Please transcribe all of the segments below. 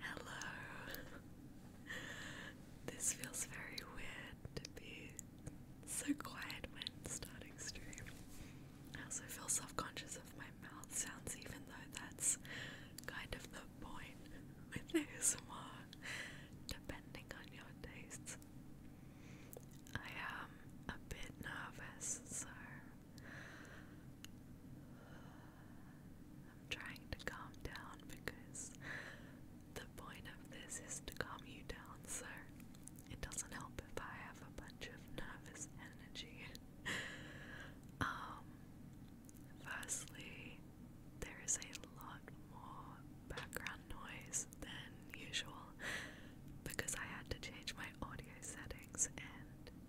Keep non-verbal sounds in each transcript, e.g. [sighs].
Hello. This feels very weird to be so quiet when starting stream. I also feel self-conscious of my mouth sounds even though that's kind of the point with ASMR, [laughs] depending on your tastes. I am a bit nervous, so I'm trying to calm down because the point of this is to calm you down, so it doesn't help if I have a bunch of nervous energy. [laughs] um, firstly, there is a lot more background noise worse than usual because I had to change my audio settings and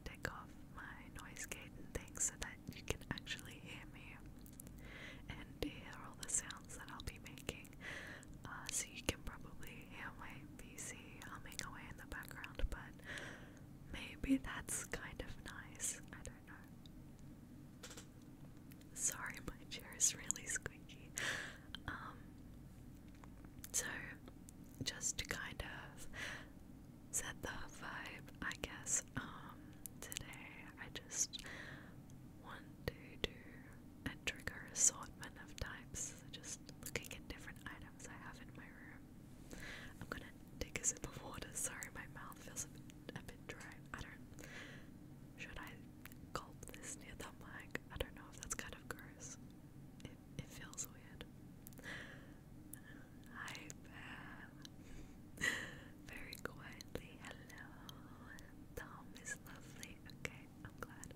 take off my noise gate and things so that you can actually hear me and hear all the sounds that I'll be making. Uh, so you can probably hear my PC humming away in the background, but maybe that's kind of nice. I don't know. Sorry, my chair is really squeaky. Um, so, just to kind of set the vibe, I guess, um, today I just want to do a trigger assortment of types, just looking at different items I have in my room. I'm gonna take a sip of water, sorry, my mouth feels a bit dry. I don't should I gulp this near the mic? I don't know if that's kind of gross. It, it feels weird. Hi, Bear. [laughs] Very quietly, hello. Tom is lovely. Okay, I'm glad.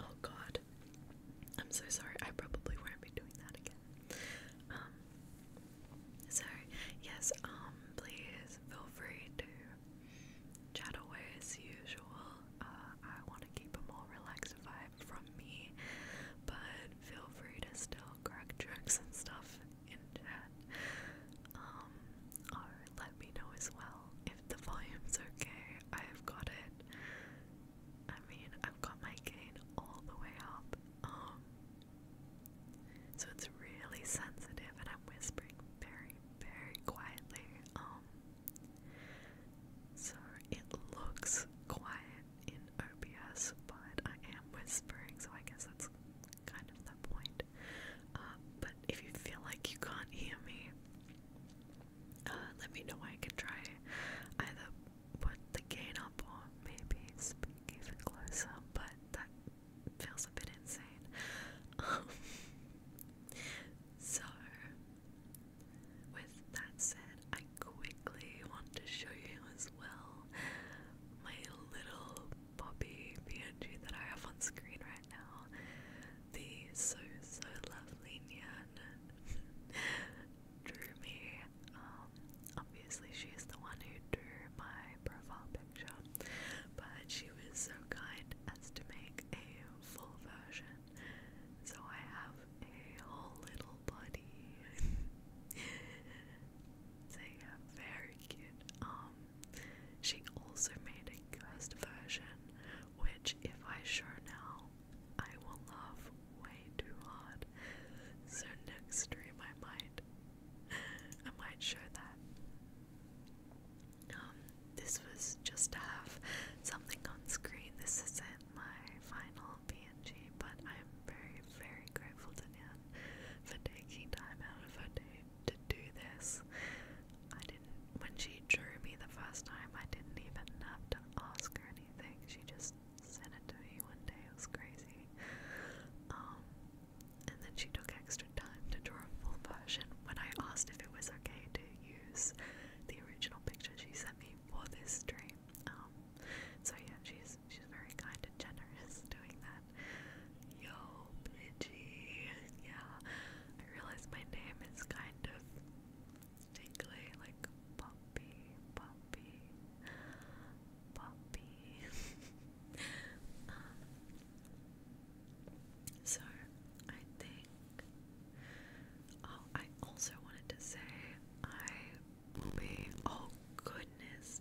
Oh god. I'm so sorry. I probably won't be doing that again. Um, so yes, um, please feel free to chat away as usual. Uh, I want to keep a more relaxed vibe from me, but feel free to still crack jokes and stuff in chat. Um, or let me know as well if the volume's okay. I've got it. I mean, I've got my gain all the way up. Um, so it's really sensitive, and I'm whispering very, very quietly. Um, so it looks quiet in OBS, but I am whispering, so I guess that's kind of the point. Uh, but if you feel like you can't hear me, uh, let me know. I can try either put the gain up or maybe speak even closer, but feels a bit insane. Um, [laughs] so, with that said, I quickly want to show you as well my little Bobby PNG that I have on screen right now. The so so lovely Nyan [laughs] drew me. Um, obviously, she is the one who drew my profile pic picture, but she was so kind as to make a full version. So I have a whole little body. so [laughs] yeah, very cute. Um, she also made a cursed version, which if I show now, I will laugh way too hard. So next stream I might I might show that. Um, this was just to have something on screen. This isn't my final PNG, but I'm very, very grateful to Nan for taking time out of her day to do this. I didn't, when she drew me the first time, I didn't even have to ask her anything. She just sent it to me one day. It was crazy. Um, and then she took extra time to draw a full version when I asked if it was okay to use the original picture she sent me for this stream. Um, so yeah, she's she's very kind and generous doing that. Yo, Pidgey, yeah. I realize my name is kind of tingly, like puppy, puppy, puppy. [laughs] Um, so, I think. Oh, I also wanted to say I will be. Oh, goodness.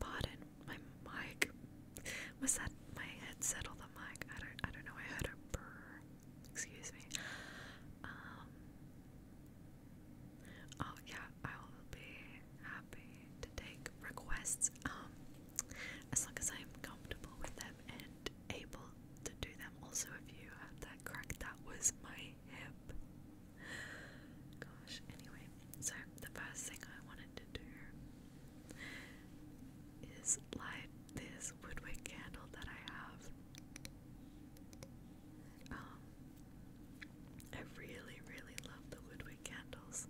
Pardon my mic. Was that my headset or the mic? I don't. I don't know. I heard a brr. Excuse me. Um. Oh yeah, I will be happy to take requests um, as long as I'm comfortable with them and able to do them. Also, if you have that crack, that was my hip. Gosh, anyway, so the first thing I wanted to do is light this woodwick candle that I have. Um, I really, really love the woodwick candles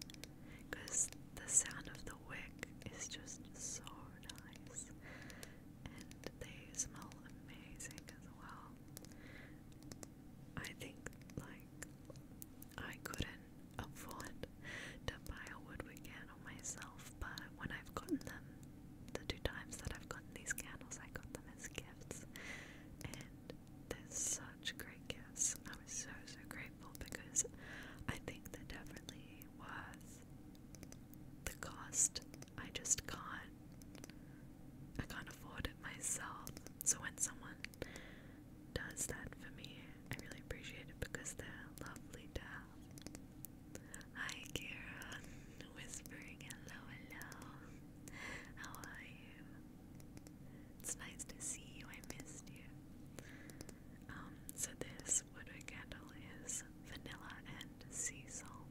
because the sound of the wick is just so nice, and they smell amazing as well. I think like I couldn't afford to buy a woodwick candle myself, but when I've gotten them, the two times that I've gotten these candles, I got them as gifts, and that's are such great gifts. I was so so grateful because I think that definitely was the cost. I just can't I can't afford it myself. So when someone does that for me, I really appreciate it because they're lovely to have. Hi Kieran, whispering hello hello. How are you? It's nice to see you. I missed you. Um, so this woodwick candle is vanilla and sea salt,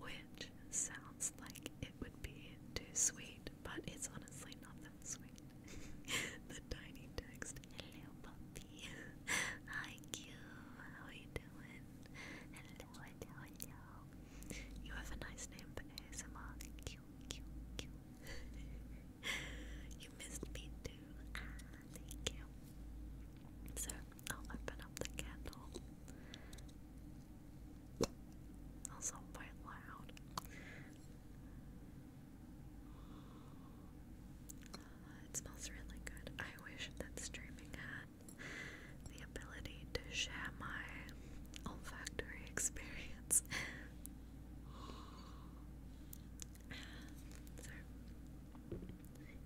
which sounds like it would be too sweet, but it's honestly not that sweet. [laughs] the tiny text, hello puppy, [laughs] hi Q, how are you doing? Hello, hello, You have a nice name for ASMR, Q you missed me too. Ah, thank you. So I'll open up the candle. Also quite loud. Ah, it smells really good. I wish that streaming had the ability to share my olfactory [laughs] experience so,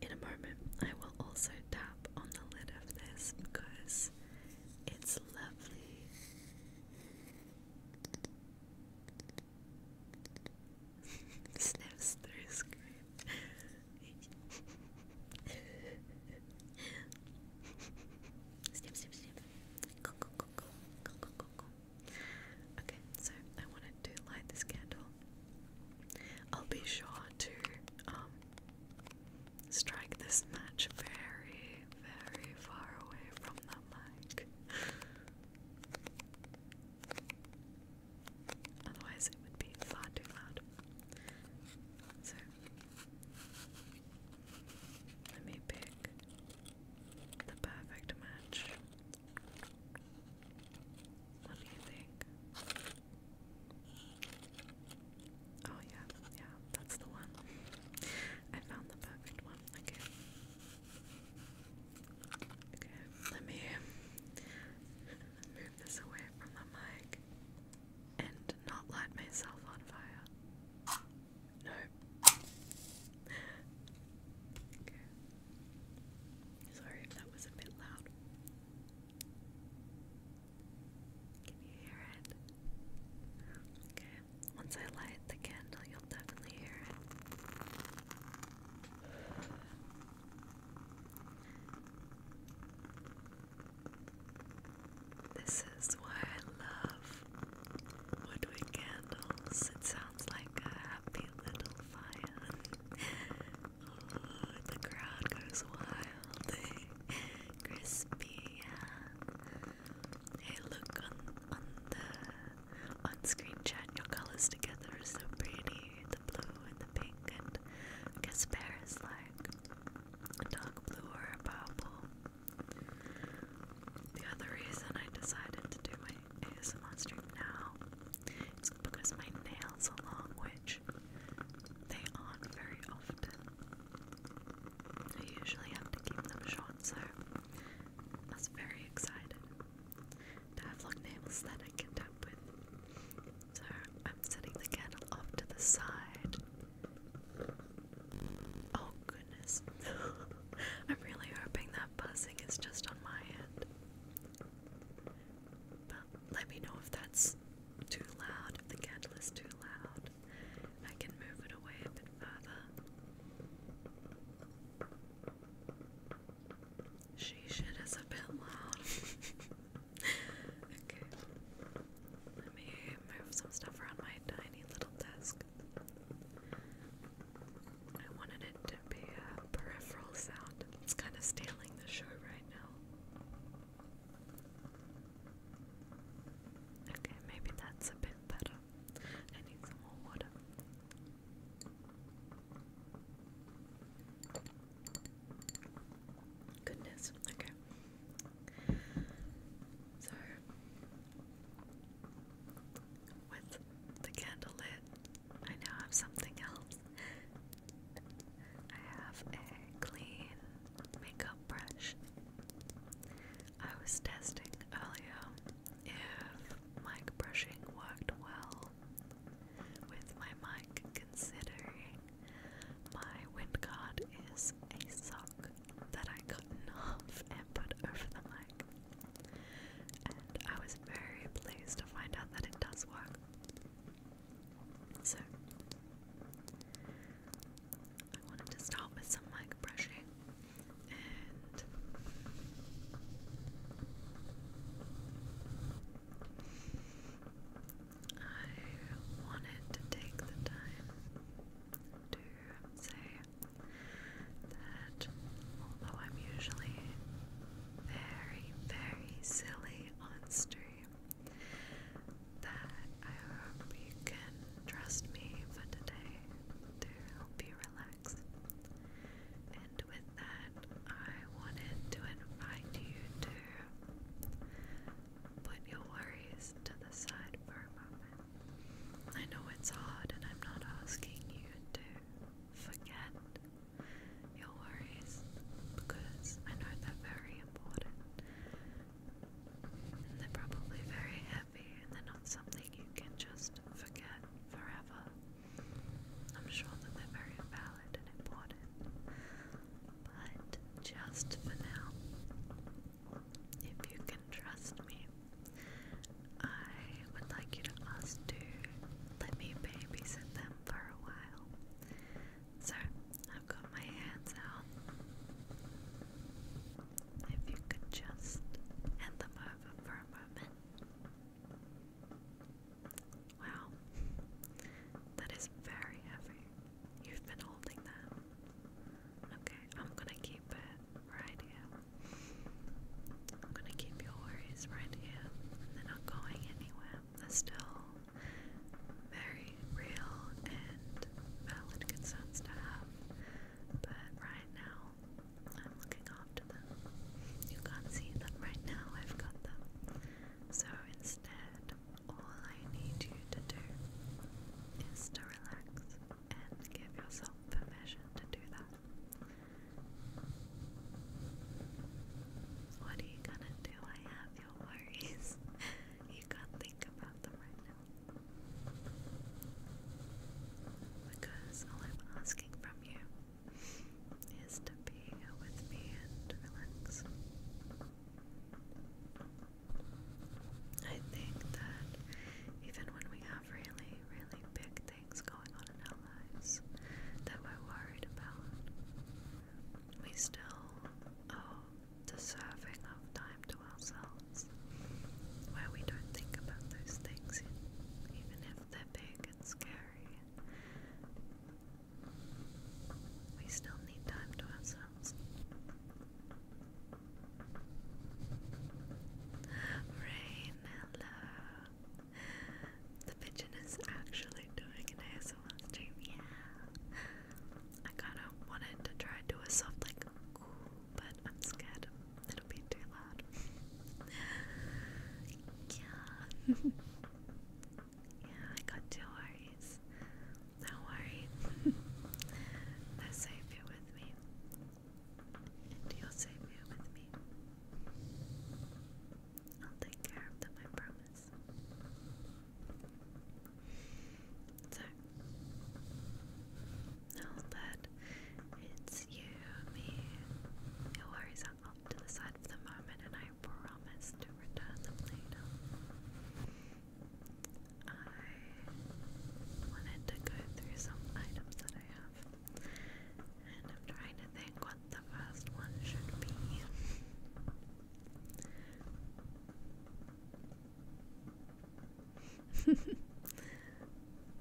in a moment, I will also tap on the lid of this because it's lovely. [laughs] Sniffs through screen. [laughs] Go, go, go, go, go, go, go, go. Okay, so I wanted to light this candle. I'll be sure to um, strike this match very, very far away from the mic. Otherwise it would be far too loud. So let me pick the perfect match. What do you think? Oh yeah, yeah, that's the one. I found the perfect one. Okay. Okay, let me [laughs] move this away from the mic and not light myself on fire. No. Sorry if that was a bit loud. Can you hear it? Okay. Once I light the candle, you'll definitely hear it. This is why I love woodwick candles. It sounds like a happy little fire. the crowd goes wild. Crispy, yeah. Hey, look on on the on-screen chat. Your colors together are so pretty. The blue and the pink, and I is like a dark blue or a purple. The other reason I decided to do my ASMR stream now is because my nail salon, which they aren't very often, I usually have to keep them short, so I very excited to have long nails that I can tap with. So I'm setting the candle off to the side. Oh goodness. [laughs] I'm really hoping that buzzing is just on my end. But let me know if that's too loud, if the candle is too loud. I can move it away a bit further. She should is a bit loud. [laughs] okay. Let me move some stuff around my tiny little desk. I wanted it to be a peripheral sound. It's kind of stealing the show right now. Okay, maybe that's a bit better. I need some more water. Goodness, okay. So with the candle lit, I now have something else. I have a clean makeup brush. I was testing earlier if mic brushing worked well with my mic, considering my wind guard is a sock that I cut in half and put over the mic. I was very pleased to find out that it does work. So, I wanted to start with some like brushing and I wanted to take the time to say that although I'm usually very, very silly on stream, that I hope you can trust me for today to help you relax. And with that, I wanted to invite you to put your worries to the side for a moment. I know it's hard, and I'm not asking you to forget your worries because I know they're very important. And they're probably very heavy and they're not something you can just forget forever. I'm sure that they're very valid and important. But just for now, if you can trust me I would like you to ask to let me babysit them for a while. So I've got my hands out. If you could just hand them over for a moment. Wow, that is very heavy. You've been holding that. Okay, I'm gonna keep it right here. I'm gonna keep your worries right here. They're not going anywhere. They're still very real and valid concerns to have. But right now, I'm looking after them. You can't see them right now, I've got them. So instead, all I need you to do is to relax and give yourself permission to do that. What are you gonna do? I have your worries. [laughs] you can't think about them right now. Because all I'm asking from you is to be with me and relax. I think that even when we have really, really big things things going on in our lives that we're worried about. We still owe deserving of time to ourselves where we don't think about those things, even if they're big and scary. We still need time to ourselves. Rain, hello the pigeon is actually doing an ASL stream. Yeah. I kinda wanted to try to do a soft like but I'm scared it'll be too loud. yeah. [laughs] yeah, I got two worries. Don't worry. [laughs] They're safe here with me. Do you say meal with me? I'll take care of them, I promise. So, now that it's you, me, your worries are off to the side for the moment, and I promise to return them later. I wanted to go through some items that I have I'm trying to think what the first one should be. [laughs]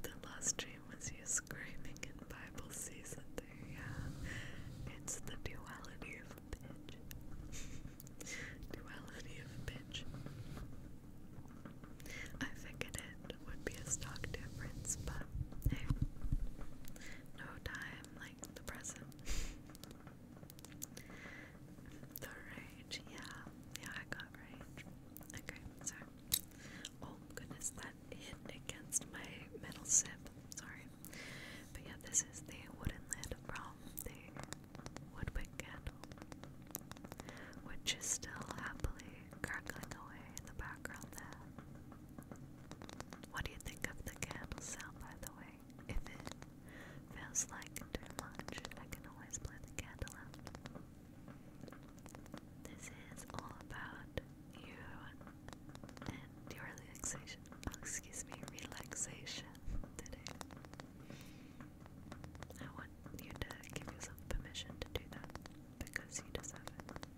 the last dream was you screaming in Bible season there, yeah. It's the duality of bitch. [laughs] duality of bitch. I figured it would be a stock difference, but hey, no time like the present. [laughs] the rage, yeah, yeah, I got rage. Okay, so, oh goodness, that hit against my metal sip. Sorry, but yeah, this is the wooden lid from the woodwick candle, which is still happily gurgling away in the background there. What do you think of the candle sound, by the way? If it feels like too much, I can always blow the candle out. This is all about you and your relaxation. Oh, excuse me, relaxation today. I want you to give yourself permission to do that because you deserve it.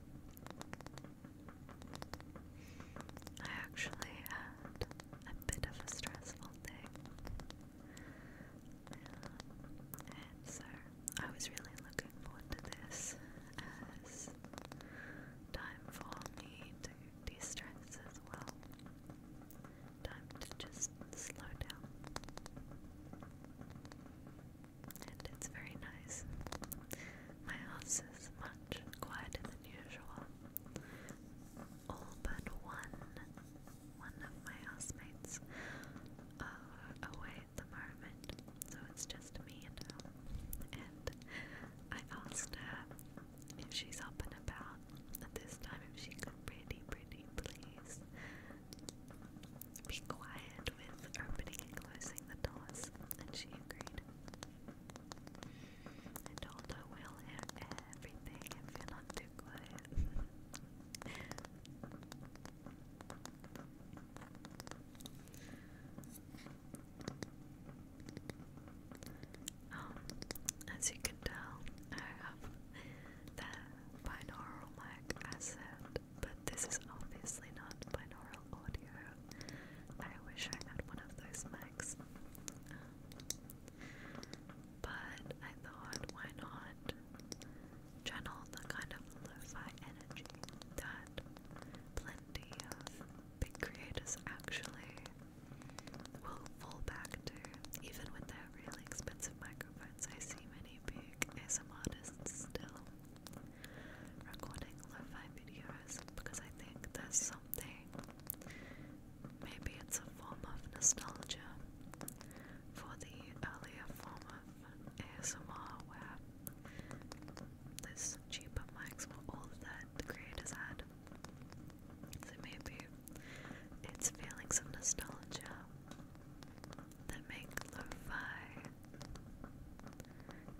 I actually had a bit of a stressful day. and so I was really looking forward to this as time for me to de stress as well. Time to just slow down it's very nice. My house is much quieter than usual. All but one, one of my housemates away at the moment, so it's just me and And I asked her if she's up and about at this time, if she could pretty, pretty please be quiet with opening and closing the doors, and she agreed. I told her we'll hear everything if you not too quiet. [laughs] Um, as you can tell, I have the binaural mic as it but this is obviously not binaural audio. I wish I had one of those mics. But I thought, why not channel the kind of lo-fi energy that plenty of big creators actually will fall back to, even with their really expensive microphones. I see many big ASM artists still recording lo videos because I think there's something, maybe it's a form of nostalgia for the earlier form of ASMR where those cheaper mics all that creators had. So maybe it's feelings of nostalgia that make lo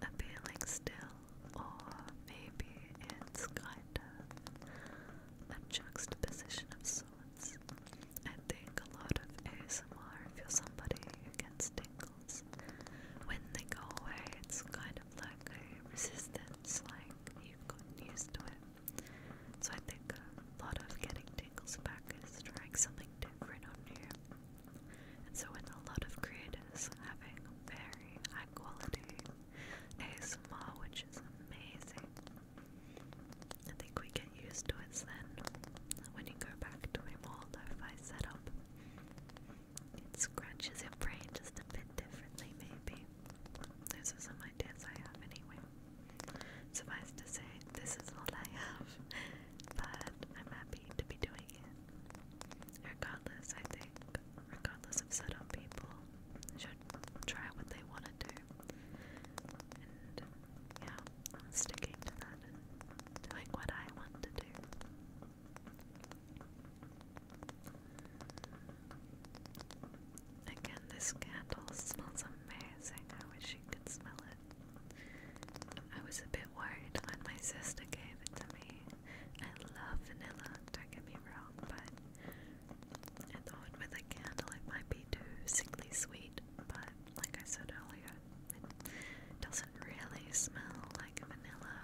appealing still, or maybe it's kind of a juxtaposition of sorts. I think a lot of ASMR, if you're somebody who gets tingles, when they go away, it's kind of like a resistance, like you've gotten used to it. So I think a lot of getting tingles back is trying something different on you. And so when a lot of creators having very high quality ASMR, which is amazing, I think we get used to it then. When you go back to a more lo-fi setup, it scratches your brain just a bit differently maybe. Those are some ideas I have anyway. Suffice to say, this is all I have, [laughs] but I'm happy to be doing Regardless, I think, regardless of certain people, should try what they want to do. And yeah, I'm sticking to that doing what I want to do. Again, this candle smells amazing. I wish you could smell it. I was a bit worried when my sister gave it to me. I love vanilla, don't get me wrong, but I thought with a candle it might be too sickly sweet, but like I said earlier, it doesn't really smell like vanilla.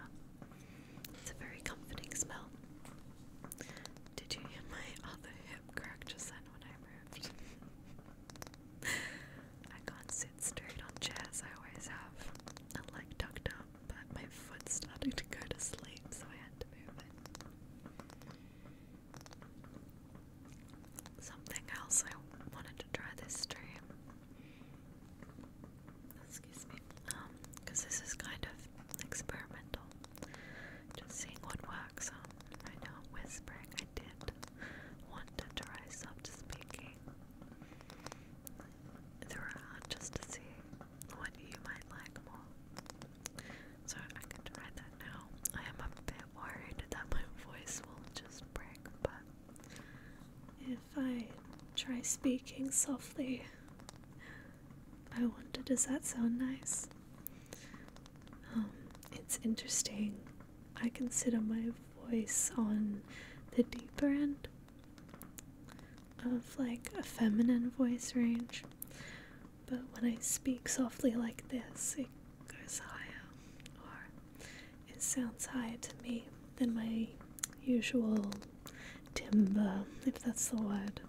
It's a very comforting smell. Did you hear my other hip crack just then when I moved? [laughs] I can't sit straight on chairs, I always have. i like tucked up, but my foot started to go to sleep, so I had to move it. Something else I wanted to try this stream. Excuse me. Um, because this is kind of experimental. Just seeing what works. Um, I know whispering. I did want to try soft speaking, throughout just to see what you might like more. So I can try that now. I am a bit worried that my voice will just break, but if I try speaking softly, I wonder does that sound nice? Um, it's interesting I consider my voice on the deeper end of like a feminine voice range, but when I speak softly like this, it goes higher or it sounds higher to me than my usual timbre, if that's the word.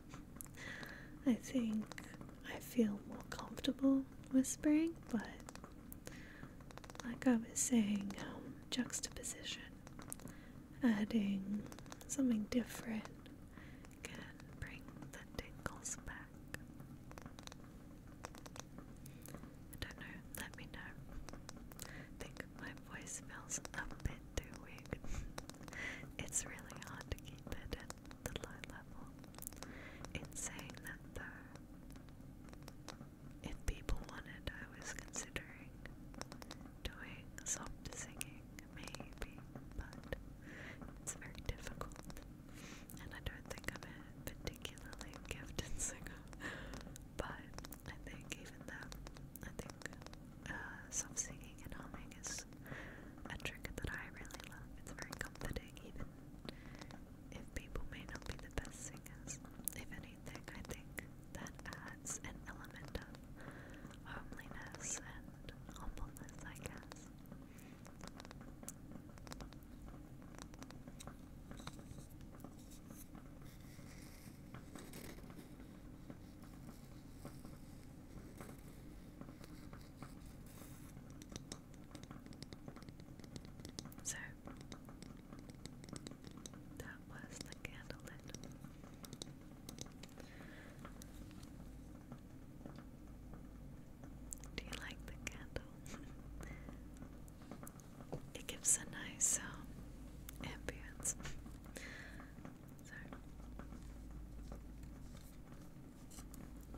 I think I feel more comfortable whispering, but like I was saying, um, juxtaposition, adding something different can bring the tingles back. I don't know, let me know. think my voice feels a bit too weak. [laughs] it's really hard to keep it at the low level. It's though if people wanted, I was considering doing soft singing, maybe, but it's very difficult, and I don't think I'm particularly gifted singer, but I think even that, I think uh, soft singing and humming is a trick that I really love, it's very comforting, even if people may not be the best singers. If anything, I think that adds an element of homeliness and humbleness, I guess. So, that was the candlelit. Do you like the candle? [laughs] it gives a nice um, [laughs] so,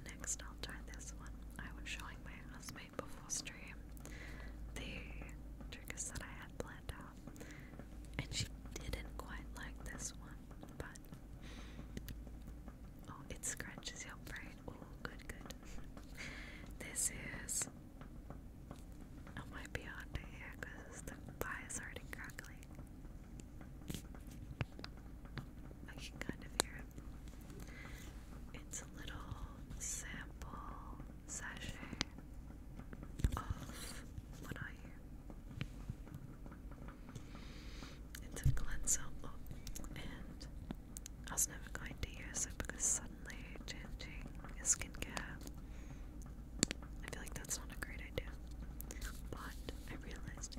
next, I'll try this one. I was showing my husband make before stream the triggers that I had planned out, and she didn't quite like this one, but oh, it scratches your brain. Oh, good, good. [laughs] this is. I might be on to here because the pie is already crackling. I can kind of hear It's a little sample sachet of what are you? It's a cleanser, oh, and I was never going to use it because suddenly changing skincare, I feel like that's not a great idea. But I realized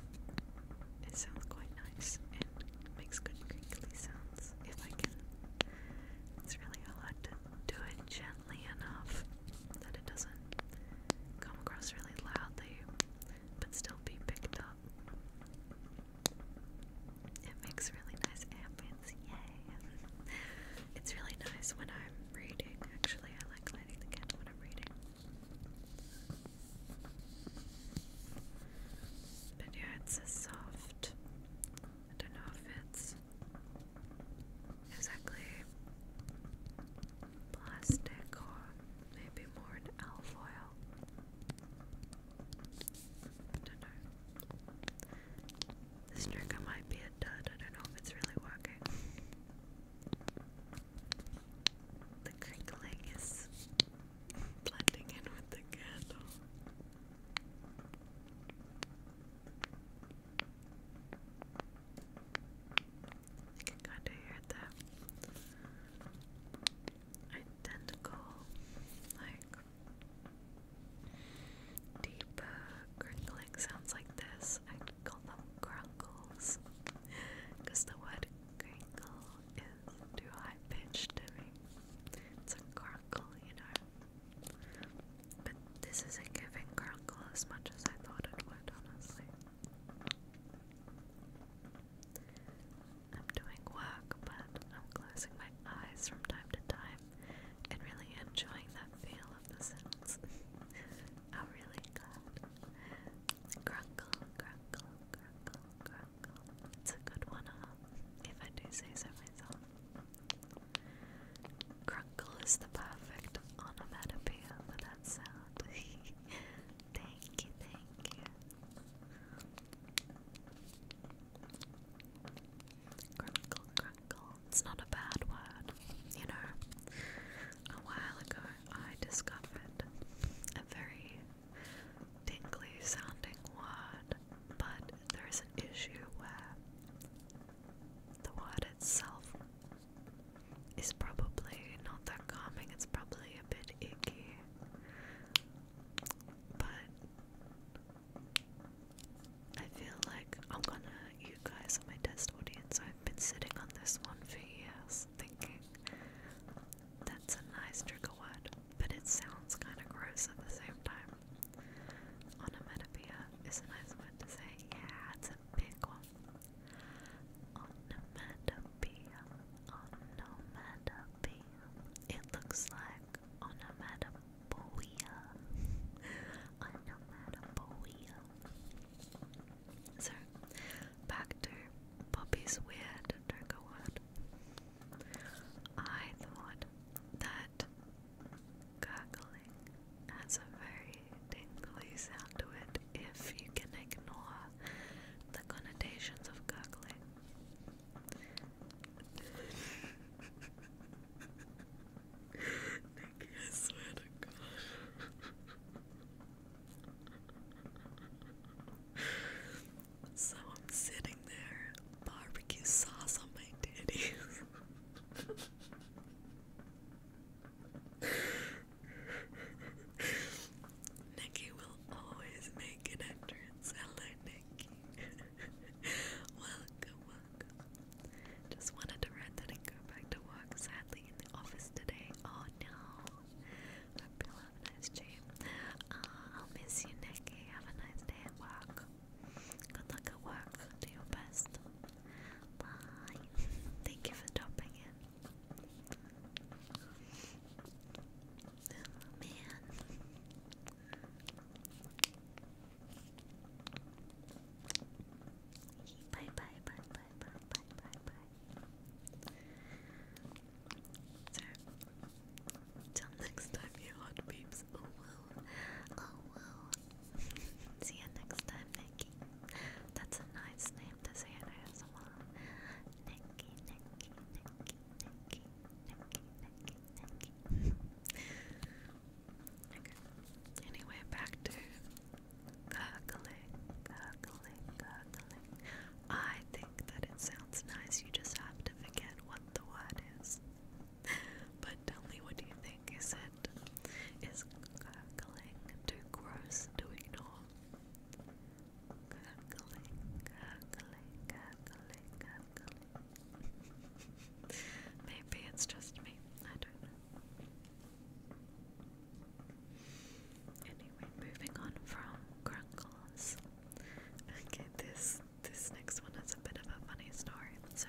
it sounds quite nice and makes good crinkly sounds if I can. It's really hard to do it gently enough that it doesn't come across really loudly but still be picked up. It makes really nice ambience, yay! it's really nice when I'm reading, actually. I like lighting the candle when I'm reading. But yeah, it's a soft. I don't know if it's exactly plastic or maybe more an alfoil. I don't know. This trick might be a dud, I don't know if it's really working. The crinkling is blending in with the candle. I can kind of hear that identical, like deep uh, sounds like this. I call because the word crinkle is too high pitched to me. It's a grunkle, you know. But this isn't giving Grunkle as much as I thought it would, honestly. I'm doing work, but I'm closing my eyes from time to time and really enjoying that feel of the sounds. [laughs] I'm oh, really glad. Grunkle, grunkle, grunkle, grunkle. It's a good one, If I do say so myself. Crinkle is the perfect onomatopoeia for that sound. [laughs] thank you, thank you. Crunkle, crunkle. It's not a bad word, you know. A while ago, I discovered a very tingly sounding word, but there is an issue where the water itself is probably not that calming, it's probably a bit icky. But I feel like I'm gonna, you guys are my test audience. I've been sitting on this one for years thinking that's a nice trigger word, but it sounds kind of gross at the same time. Onomatopoeia is a nice word to say. Yeah, it's a big one. Onomatopoeia. Onomatopoeia. It looks like onomatopoeia. onomatopoeia. So, back to Poppy's weird trigger word. I thought that Gurgling has a very tingly sound to it if you can ignore the connotations of gurgling. so I'm sitting there, barbecue sauce on my titties. Nikki will always make an entrance. Hello, Nikki. [laughs] welcome, welcome. Just wanted to rant that and go back to work. Sadly, in the office today. Oh no. you have a nice dream. Uh, I'll miss you, Nikki. Have a nice day at work. Good luck at work. Do your best. Bye. [laughs] Thank you for dropping in. Oh, bye bye bye bye bye bye bye bye. So, next time, you hot Oh Oh See you next time, Nikki. That's a nice name to say in ASMR. Nikki, Nikki, Nikki, Nikki, Nikki, Nikki, Nikki. Anyway, back to gurgling, gurgling, gurgling. I think that it sounds nice. You just have to forget what the word is but tell me what do you think? Is it is cackling too gross to ignore? Cackling, cackling, cackling, cackling. Maybe it's just me. I don't know. Anyway, moving on from crunkles. Okay, this this next one is a bit of a funny story. So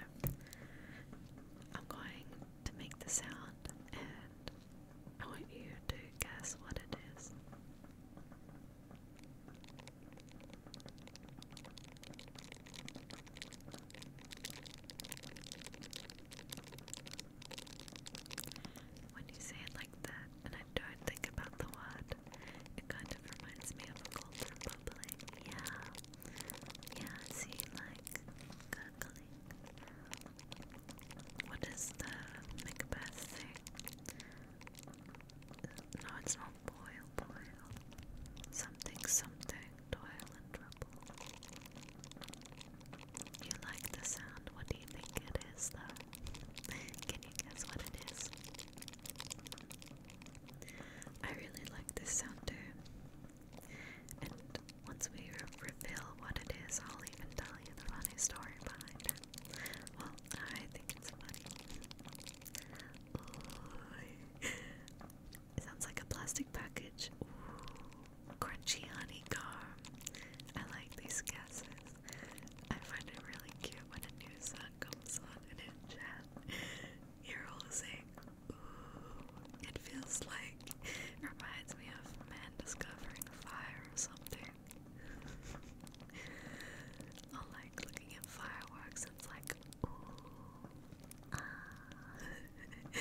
I'm going to make the sound and I want you to guess what it is. When you say it like that, and I don't think about the word, it kind of reminds me of a golden bubbling. Yeah, yeah, see, like, What is the Macbeth thing? No, it's not boil, boil. Something, something, toil and trouble. You like the sound, what do you think it is though? Can you guess what it is? I really like this sound and once we reveal what it is, I'll even tell you the funny story behind it. Well, I think it's funny. Ooh. sounds like a plastic package. Ooh. Crunchy honeycomb. I like these guesses. I find it really cute when a new song comes on and in chat. [laughs] You're all saying, Ooh, it feels like it reminds me of a man discovering fire or something. I like looking at fireworks, it's like, ooh, ah. [laughs]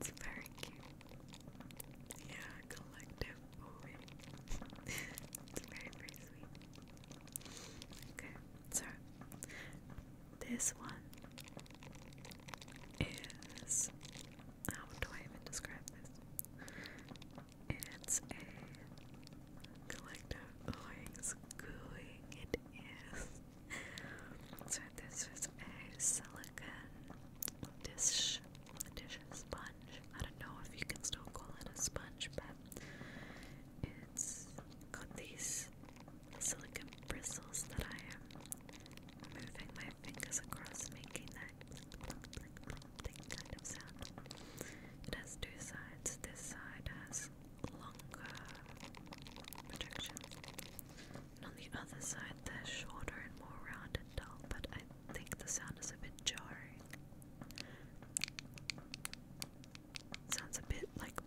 it's very cute. Yeah, collective movie. it's very, very sweet. Okay. So this one is how do I even describe this? It's a collective oings gooing it is. So this was a silicon dish dish sponge. I don't know if you can still call it a sponge, but it's got these silicon bristles that I am moving my fingers across, making that kind of sound. It has two sides. This side has longer projections, and on the other side, they're shorter and more round dull. But I think the sound is a bit jarring. Sounds a bit like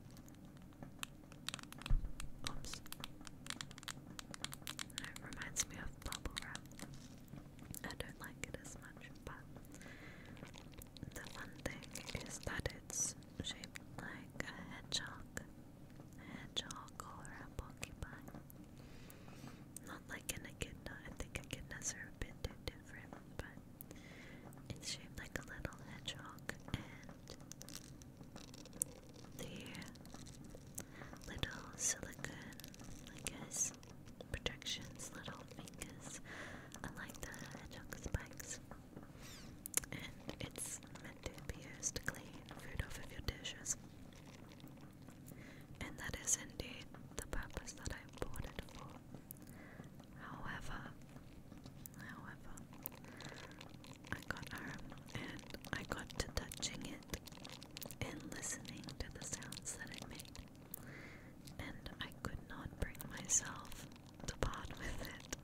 it reminds me of bubble wrap. I don't like it as much, but the one thing is that it's shaped like a hedgehog. hedgehog or a porcupine. Not like an echidna. I think echidnas are a too different, but it's shaped like a little hedgehog and their little silicone, I projections, little fingers, unlike the hedgehog spikes. And it's meant to be used to clean food off of your dishes. And that is indeed the purpose that I bought it for. However, However, I got home and I got to touching it and listening to the sounds that it made, and I could not bring myself to part with it.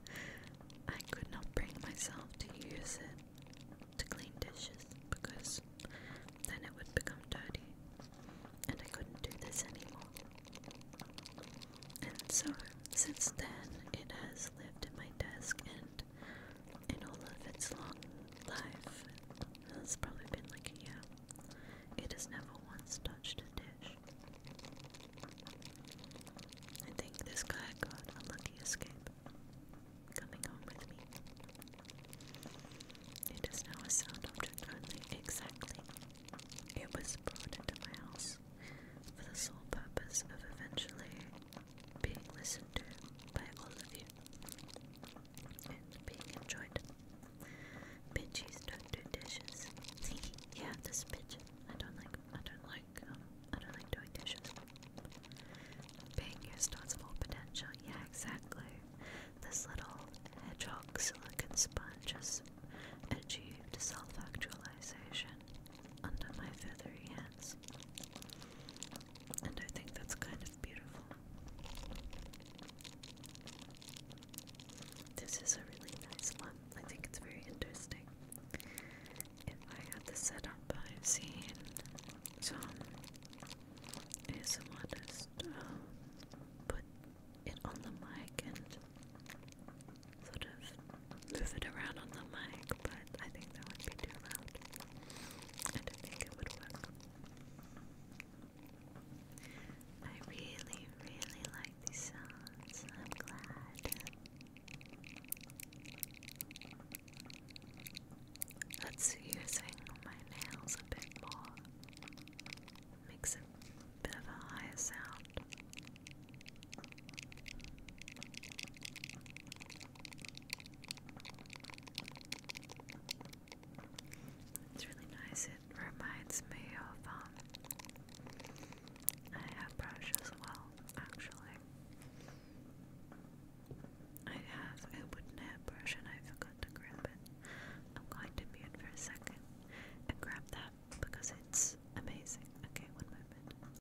I could not bring myself to use it to clean dishes because then it would become dirty, and I couldn't do this anymore. And so, since then, it has lived at my desk and in all of its long life, it's probably been like a year, it has never once touched a dish. I think this guy got a lucky escape coming home with me. It is now a sound object only, exactly. It was brought into my house for the sole purpose of eventually being listened to by all of you and being enjoyed. Bitches don't do dishes. yeah, this bitch. I don't like. I don't like. Um, I don't like doing dishes. Being used to its potential. Yeah, exactly. This little hedgehog silicon sponge has achieved self-actualization under my feathery hands. And I think that's kind of beautiful. This is a really nice one. I think it's very interesting. If I had the setup, I've seen some ASMRists um, put it on the mic and sort of move it around on the mic, but I think that would be too loud. I think it would work. I really, really like these sounds. I'm glad. That's using my nails a bit more. Makes a bit of a higher sound. It's really nice. It reminds me of um I have brush as well, actually. I have a wooden head and I forgot to grab it. I'm going to mute for a second and grab that because it's amazing. Okay, one moment.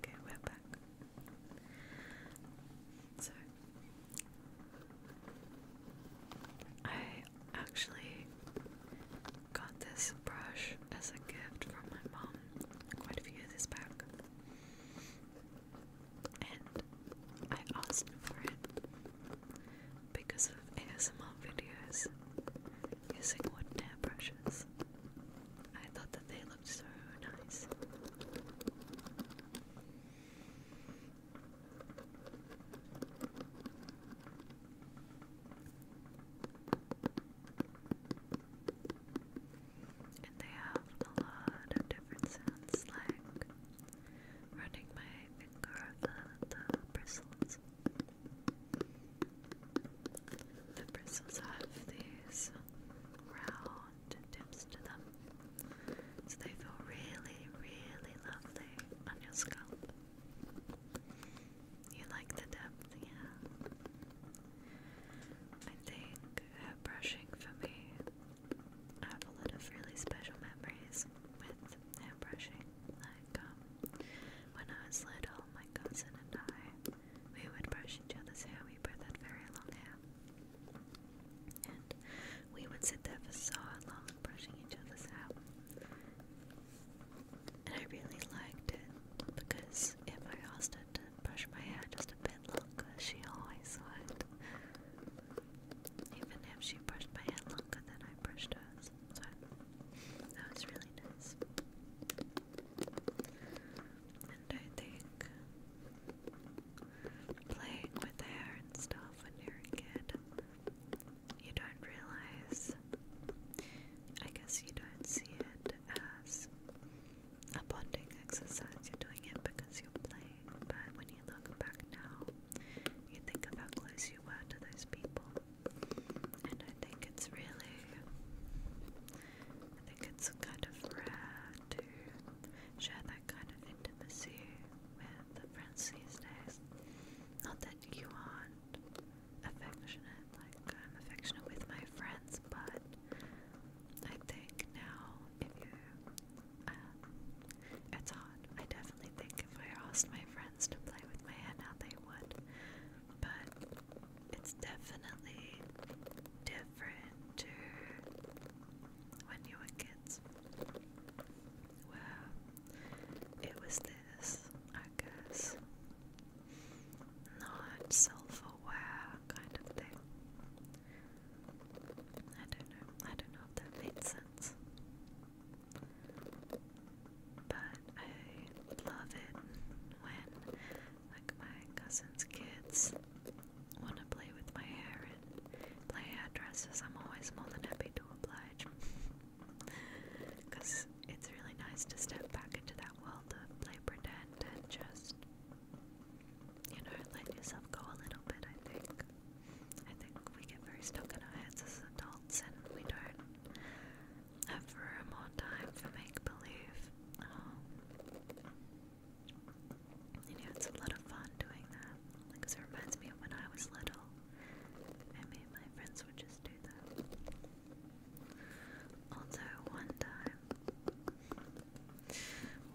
Okay, we're back. So, I actually got this brush as a gift from my mom quite a few years back, and I asked for it because of ASMR videos using wooden airbrushes. I thought that they looked so nice. And they have a lot of different sounds like running my finger up the, the bristles. The bristles have these round tips to them, so they feel really, really lovely on your scalp. You like the depth, yeah. I think hair brushing for me, I have a lot of really special memories with hair brushing. Like, um, when I was little, my cousin and I, we would brush each other's hair. We both had very long hair. And we would sit there for so long brushing each other's hair. And I really liked it because if I asked her to brush my hair just a bit longer, she always would. Even if she brushed my head longer than I brushed hers. that was really nice. And I think playing with hair and stuff when you're a kid, you don't realize, I guess you don't see it as a bonding exercise, you're doing it because you're playing, but when you look back now, you think of how close you were to those people. And I think it's really, I think it's kind of rare to share that kind of intimacy with the friends these days. Not that you aren't affectionate, like I'm affectionate with my friends, but I think now if you it's hot. I definitely think if I asked my friends to play with my hair now, they would. But it's definitely different to when you were kids. Well, it was this, I guess. Not self aware kind of thing. I don't know. I don't know if that made sense. But I love it when, like, my cousin's kids want to play with my hair and play addresses. I'm always more than happy to oblige. [laughs] it's really nice to step back into that world of play pretend and just, you know, let yourself go a little bit, I think. I think we get very stuck in our heads as adults and we don't have room or time for make believe. Um, you know, it's a lot of fun doing that because it reminds me of when I was little me and my friends would just do that. Also, one time,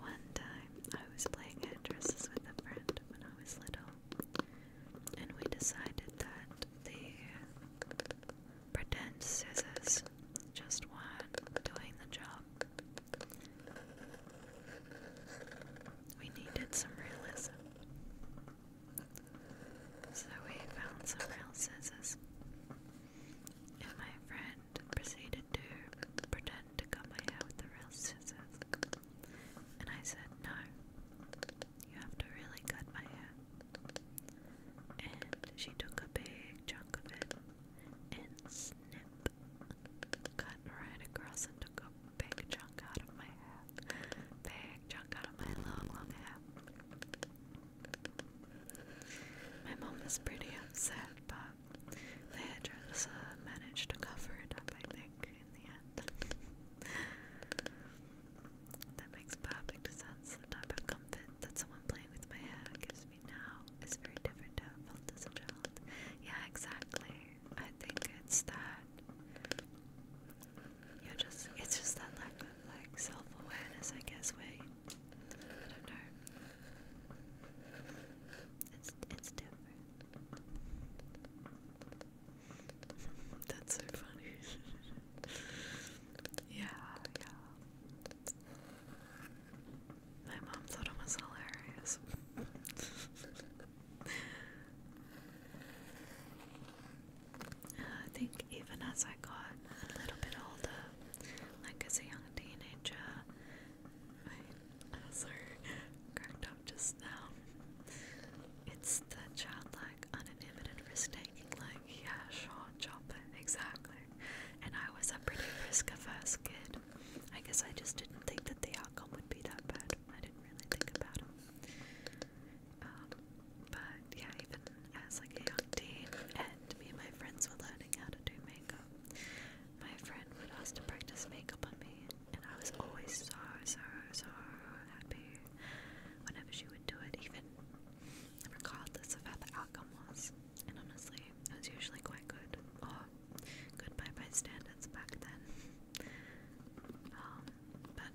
one time I was playing actresses with a friend when I was little and we decided that the pretend scissors just weren't doing the job. We needed some realism. So we found some real scissors, and my friend proceeded to pretend to cut my hair with the real scissors. And I said, No, you have to really cut my hair. And she took a big chunk of it and snip, cut right across and took a big chunk out of my hair. Big chunk out of my long, long hair. My mom was pretty upset, but the hairdresser managed to cover it up, I think. [laughs] that makes perfect sense. The type of comfort that someone playing with my hair gives me now is very different to how I felt as a child. Yeah, exactly. I think it's that you're just it's just that lack of like self awareness I guess where I don't know. It's it's different. [laughs] That's so funny. [laughs] yeah, yeah. My mom thought it was hilarious. [laughs] Uh, I think even as I got a little bit older, like as a young teenager, my ulcer uh, cracked from just now. It's the childlike, uninhibited risk taking, like, yeah, sure, chop it, exactly. And I was a pretty risk averse kid. I guess I just didn't think that the outcome would be that bad. I didn't really think about it. Um, but yeah, even as like a young teen, and me and my friends were learning how to do makeup. My friend would ask to practice makeup on me, and and I was always so, so, so happy whenever she would do it, even regardless of how the outcome was. And honestly, it was usually quite good, or good by my standards back then. Um, but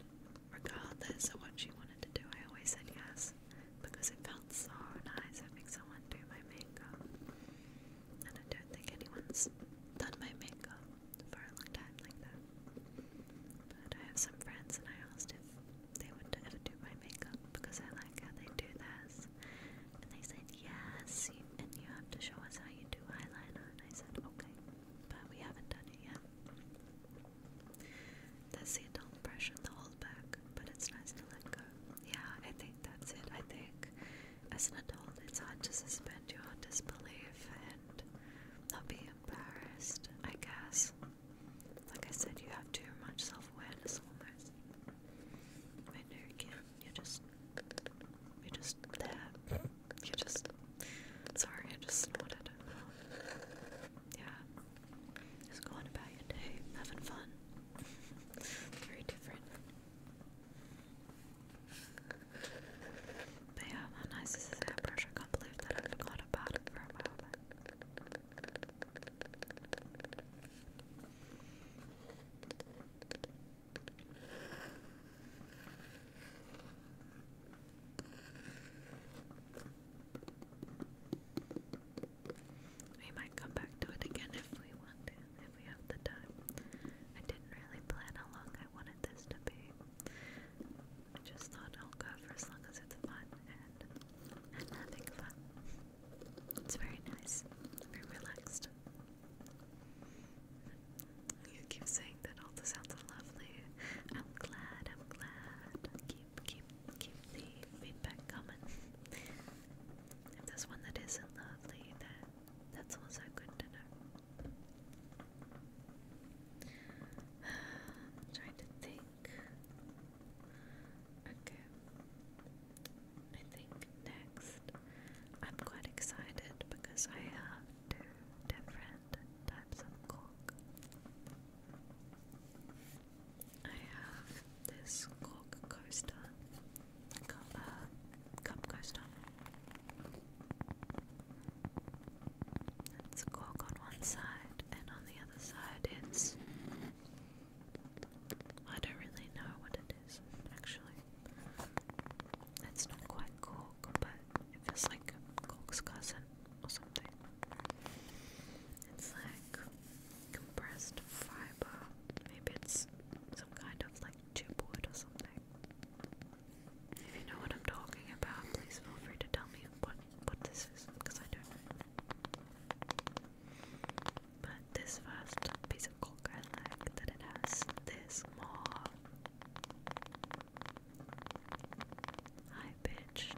regardless of what she wanted to do, I always said yes because it felt so nice having someone do my makeup. And I don't think anyone's done my makeup for a long time like that. But I have some friends and I asked if they would ever do my makeup because I like how they do this. And they said yes, you, and you have to show us how you do eyeliner. And I said okay, but we haven't done it yet. That's the adult brush and the hold back, but it's nice to let go. Yeah, I think that's it. I think as an adult, it's hard to suspend your disbelief and and not be embarrassed, I guess. Like I said, you have too much self awareness almost. I know you can you just. you just there. you just. Sorry, I just snorted. Yeah. Just going about your day, having fun. Very different. But yeah, how nice this airbrush? I can't believe that I forgot about it for a moment. We might come back to it again if we want if we have the time. I didn't really plan how long I wanted this to be. I just thought I'll go for as long as it's fun and i fun. It's very nice, very relaxed. You keep saying that all the sounds are lovely. I'm glad, I'm glad. Keep keep keep the feedback coming. If there's one that isn't lovely, that that's also good to know. I'm [sighs] trying to think. Okay. I think next I'm quite excited because I have two different types of cork. I have this cork coaster, uh, cup coaster, that's cork on one side, and on the other side it's. I don't really know what it is, actually. It's not quite cork, but it feels like cork's cousin or something. It's like compressed fiber. Maybe it's some kind of like tube or something. If you know what I'm talking about, please feel free to tell me what what this is, because I don't But this first piece of cork, I that it has this more high-pitched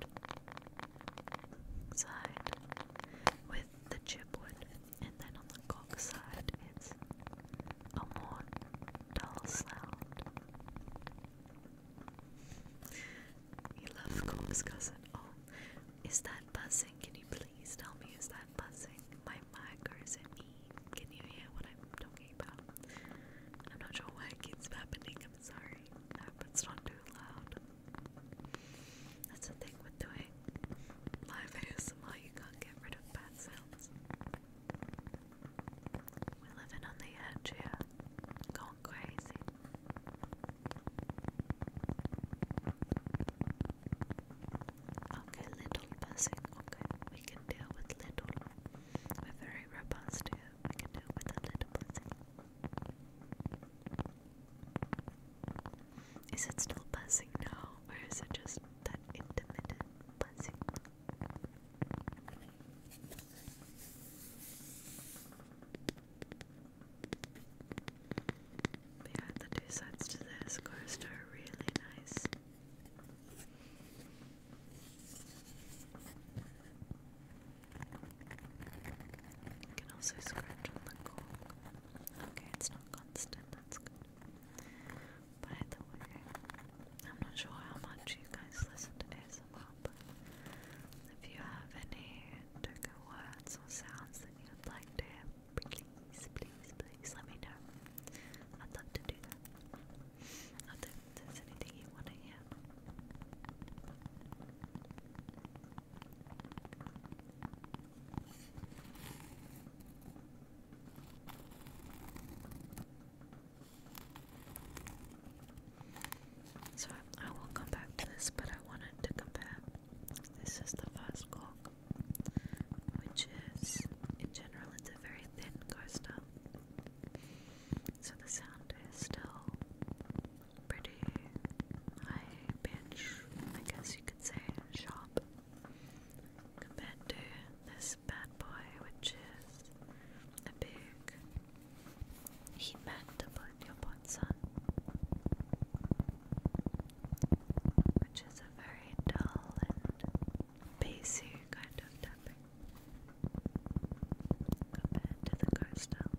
side with the chipwood, and then on the cork side it's a more dull sound. You love Cousin. Oh, is that buzzing? Can you please tell me, is that buzzing? My mic or is it me? Can you hear what I'm talking about? I'm not sure why it keeps happening. I'm sorry. I hope not too loud. That's the thing with doing live ASMR, you can't get rid of bad sounds. We're living on the edge here, going crazy. Okay, little buzzing. Okay, we can deal with little. We're very robust We can deal with a little buzzing. Is it still buzzing now, or is it just that intermittent buzzing? yeah, the two sides to this coaster are really nice. You can also scratch on the cork. Okay, it's not constant, that's good. By the way, I'm not sure how much you guys listen to ASMR, but if you have any token words or sounds that you would like to hear, please, please, please let me know. I'd love to do that. Not there's anything you want to hear. So I, will come back to this, but I wanted to compare. This is the first call, which is, in general, it's a very thin coaster. So the sound is still pretty high pitch, I guess you could say, sharp, compared to this bad boy, which is a big heat mat to your pots on, which is a very dull and bassy kind of tapping compared to the car style.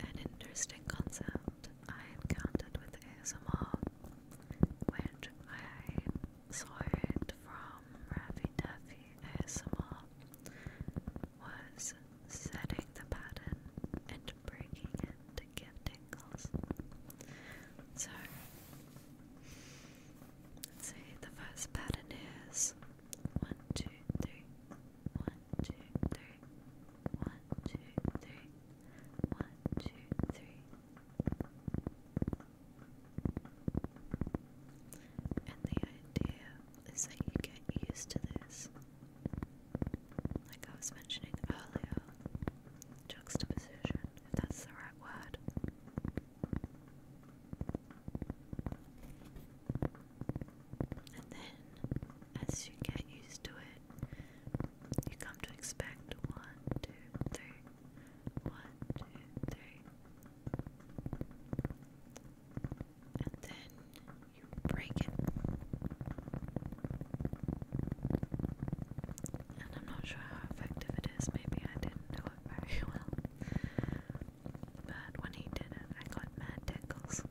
An interesting concept I encountered with ASMR which I saw it from Ravi Duffy ASMR, was setting the pattern and breaking it to get tingles. So, see, the first pattern is one, two, three, one, two, three, one, two, three. One, two, three. And the idea is that you get used to this. Like I was mentioning earlier, juxtaposition, if that's the right word. And then, as you get used to it, you come to expect. One, two, three. And then you break it. And I'm not sure how effective it is. Maybe I didn't do it very [laughs] well. But when he did it, I got mad tickles.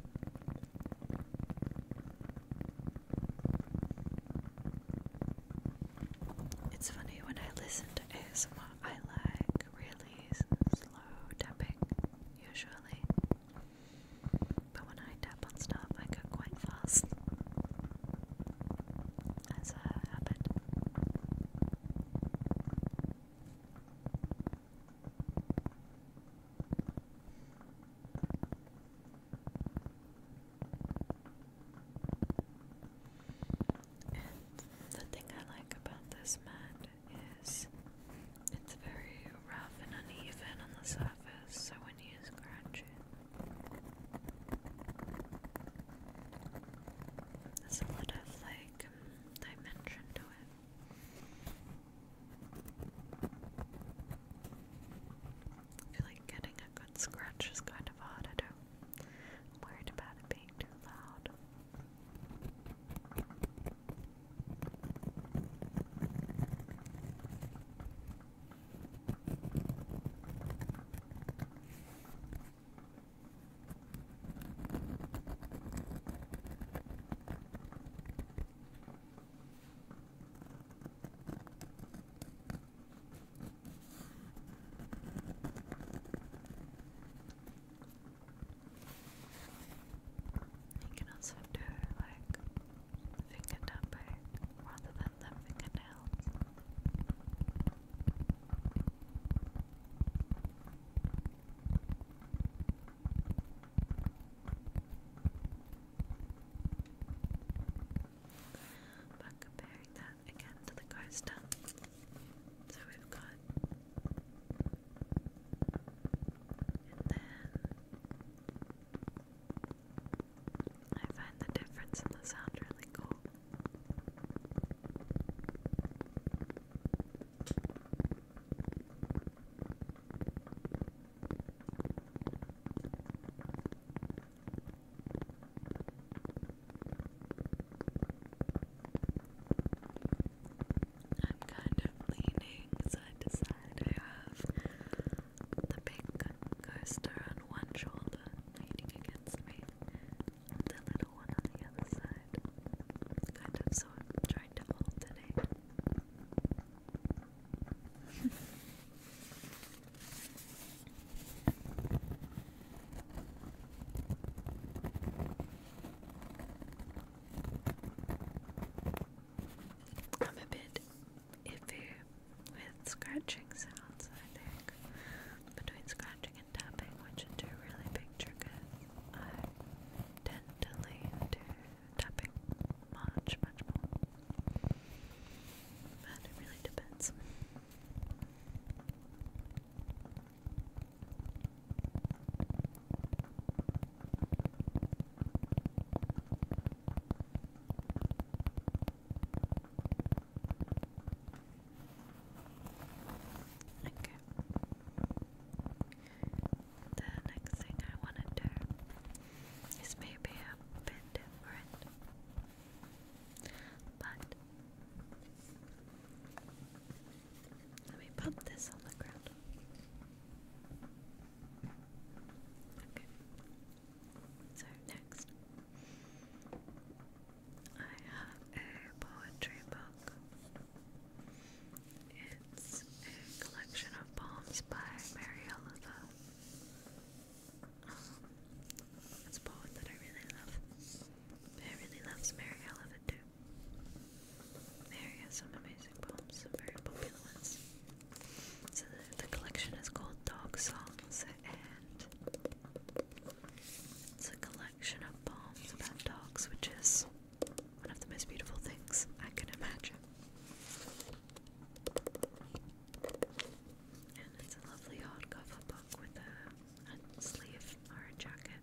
It's funny when I listen to ASMR, I like really slow tapping usually, but when I tap on stuff, I go quite fast as a habit. And the thing I like about this mat is it's very rough and uneven on the surface, so when you scratch it, there's a lot of like um, dimension to it. I feel like getting a good scratch is kind of hard, I do I'm worried about it being too loud. You can also do like finger tapping rather than the fingernails. But comparing that again to the card stuff. So we've got and then I find the difference in the sound really cool. I'm kind of leaning side to side. I have the pink coaster on one shoulder leaning against me, the little one on the other side. Kind of so trying to alternate. I'm a bit iffy with scratching sounds, I think. Between scratching and tapping, which are two really big triggers, I tend to lean to tapping much, much more but it really depends. Okay. The next thing I want to do is maybe a bit different. But let me pump this on the ground. Okay. So next, I have a poetry book. It's a collection of poems by Mary it's a poem that I really love. I really love Mary Olivet too. Mary has some amazing poems, some very popular ones. So the collection is called Dog Songs, and it's a collection of poems about dogs, which is one of the most beautiful things I can imagine. And it's a lovely hardcover book with a, sleeve or a jacket.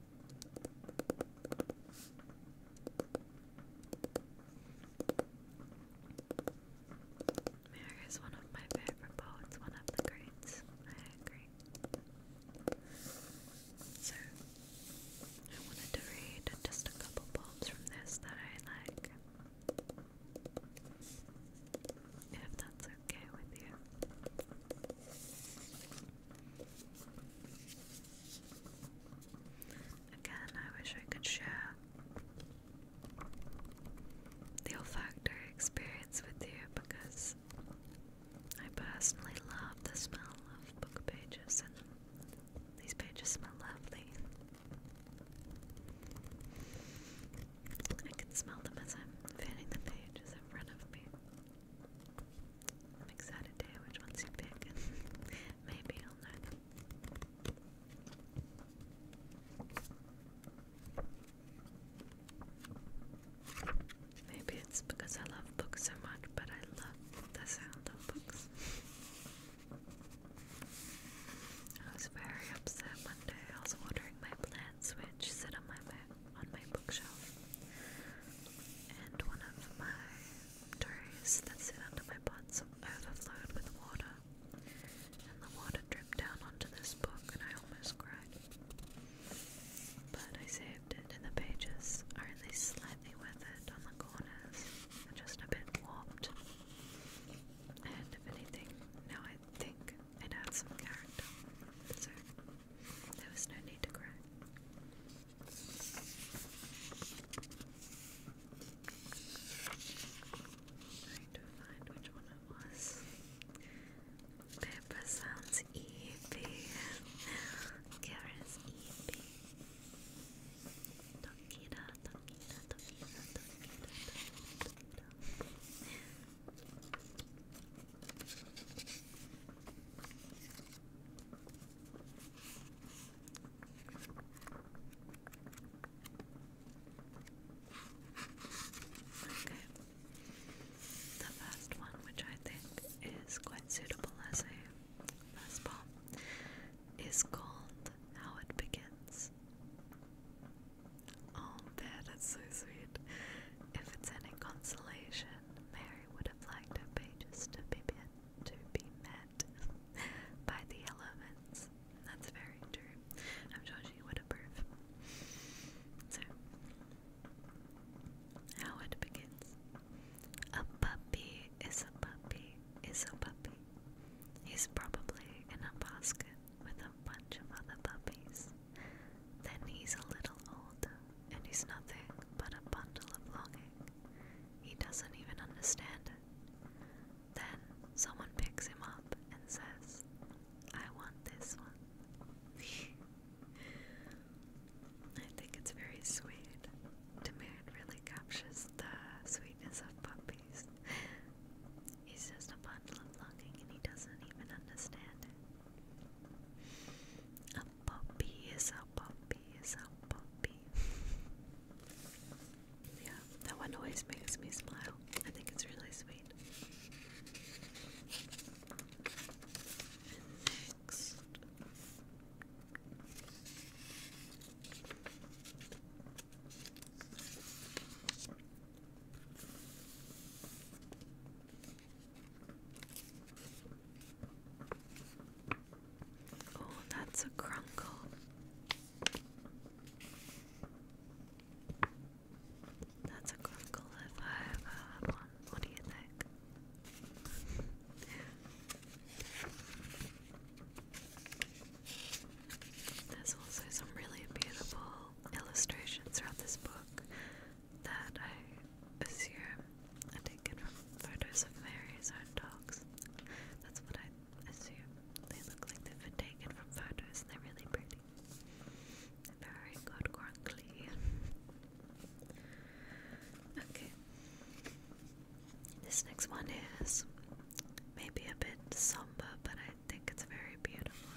Mary one of my favorite poets, one of the greats. I agree. So, I wanted to read just a couple poems from this that I like. If that's okay with you. Again, I wish I could share the olfactory experience with you because I personally love the smell of book pages, and these pages smell lovely. I can smell them as I'm fanning the pages in front of me. I'm excited to hear which ones you pick, [laughs] maybe I'll know them. Maybe it's because I love books so much, but I love the sound of books. [laughs] I was very upset one I was watering my plants, which sit on my, my on my bookshelf, and one of my doors that sit under my pots overflowed with water, and the water dripped down onto this book, and I almost cried. But I saved it, and the pages are at slightly weathered on the corners, just a bit warped. And if anything, now I think it adds some character. So there was no need to cry. Trying to find which one it was. Paper sounds eepy. Kara's eepy. Okay. The first one, which I think is quite suitable as a first poem, is called How It Begins. Oh, Dad, that's so sweet. If it's any consolation, Mary would have liked her just to be, to be met by the elements. That's very true. I'm sure she would approve. So, how it begins. A puppy is a puppy is a puppy. He's probably in a basket with a bunch of other puppies. Then he's a little old, and he's nothing but a bundle of longing. He doesn't even understand Then someone picks him up and says, I want this one. [laughs] I think it's very sweet. To really captures the sweetness of puppies. He's just a bundle of longing and he doesn't even understand it. A puppy is a puppy is a puppy. [laughs] yeah, that one always makes me smile. I think it's really sweet. next. Oh, that's a crinkle. That's a crunkle if I ever one. What do you think? There's also some really beautiful illustrations throughout this book that I assume are taken from photos of Mary's own dogs. That's what I assume. They look like they've been taken from photos and they're really pretty. Very good, Grunkly. okay. This next one is maybe a bit somber, but I I think it's very beautiful.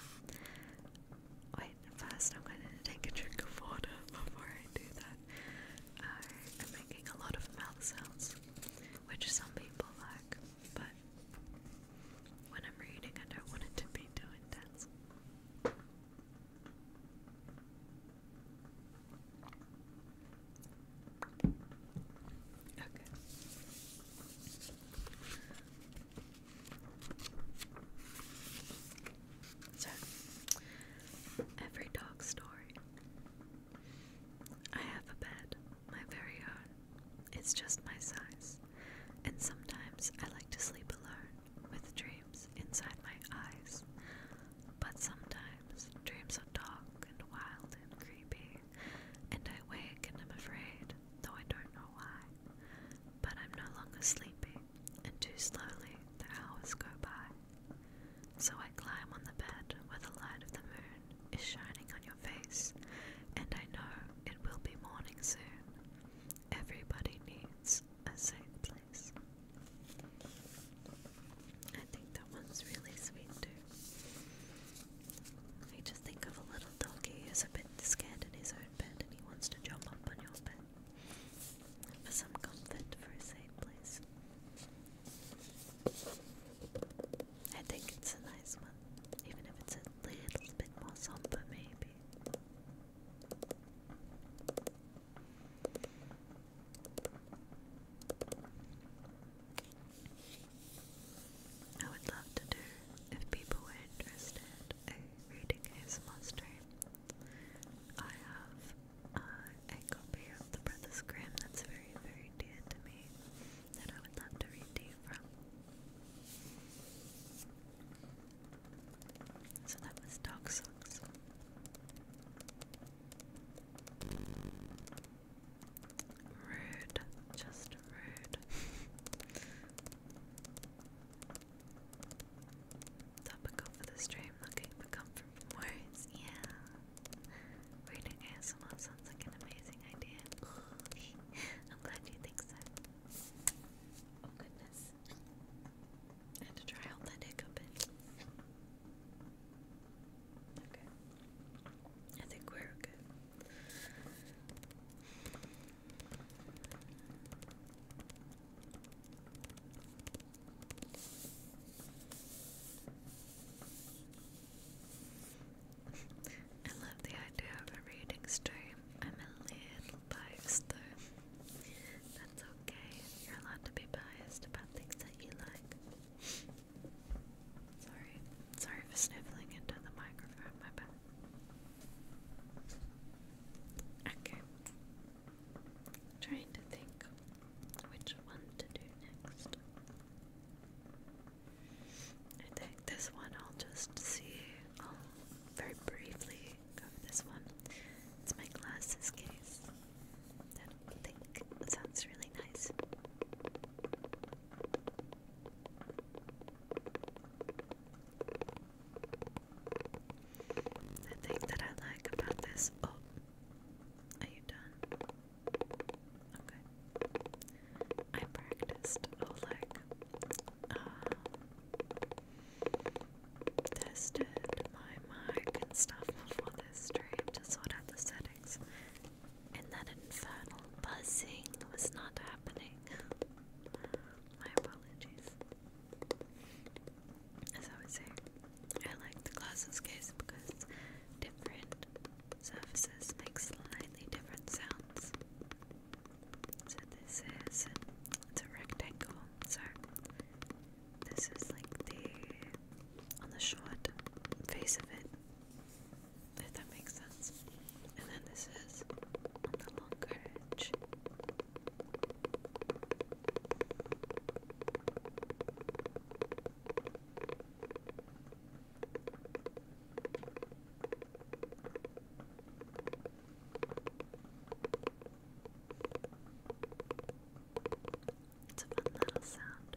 Wait, first I'm going to take a drink of water before I do that. Uh, I'm making a lot of mouth sounds, which some people like, but when I'm reading, I don't want it to be too intense. Okay. So, every dog story. I have a bed, my very own. It's just my size, and sometimes I like to sleep alone with dreams inside my eyes. But sometimes dreams are dark and wild and creepy, and I wake and I'm afraid though I don't know why. But I'm no longer sleepy, and too slowly the hours go by. So I climb on the bed where the light of the moon is shining on your face, and I know it will be morning soon. Everybody needs a safe place. I think that one's really sweet too. I just think of a little doggy who's a bit scared in his own bed and he wants to jump on your bed for some comfort for his sake, please. I think it's a nice one, even if it's a little bit more somber, maybe. I would love to do, if people were interested, reading is Monster. I have uh, a copy of The Brothers Grimm that's very, very dear to me that I would love to read to you from. So that was Dark Socks. Rude, just rude. [laughs] Topical for the stream, looking for comfort words, yeah. Reading ASMR sounds like an amazing idea. [laughs] I'm glad you think so. Oh goodness. I to try out that hiccup Okay. I think we're good. I love the idea of a reading stream. I'm a little biased though. That's okay. You're allowed to be biased about things that you like. Sorry. Sorry for sniffling into the microphone, my bad. Okay. i trying to think which one to do next. I think this one I'll just see. I'll very briefly go this one. It's my glasses case I think sounds really nice. The thing that I like about this. Oh, are you done? Okay. I practiced. Oh, um, tested my mic and stuff before this stream to sort out the settings, and that infernal buzzing was not happening. My apologies. As I was saying, I like the glasses case because different surfaces make slightly different sounds. So this is a rectangle, so this is like the on the short face of it. If that makes sense. And then this is It's a fun little sound.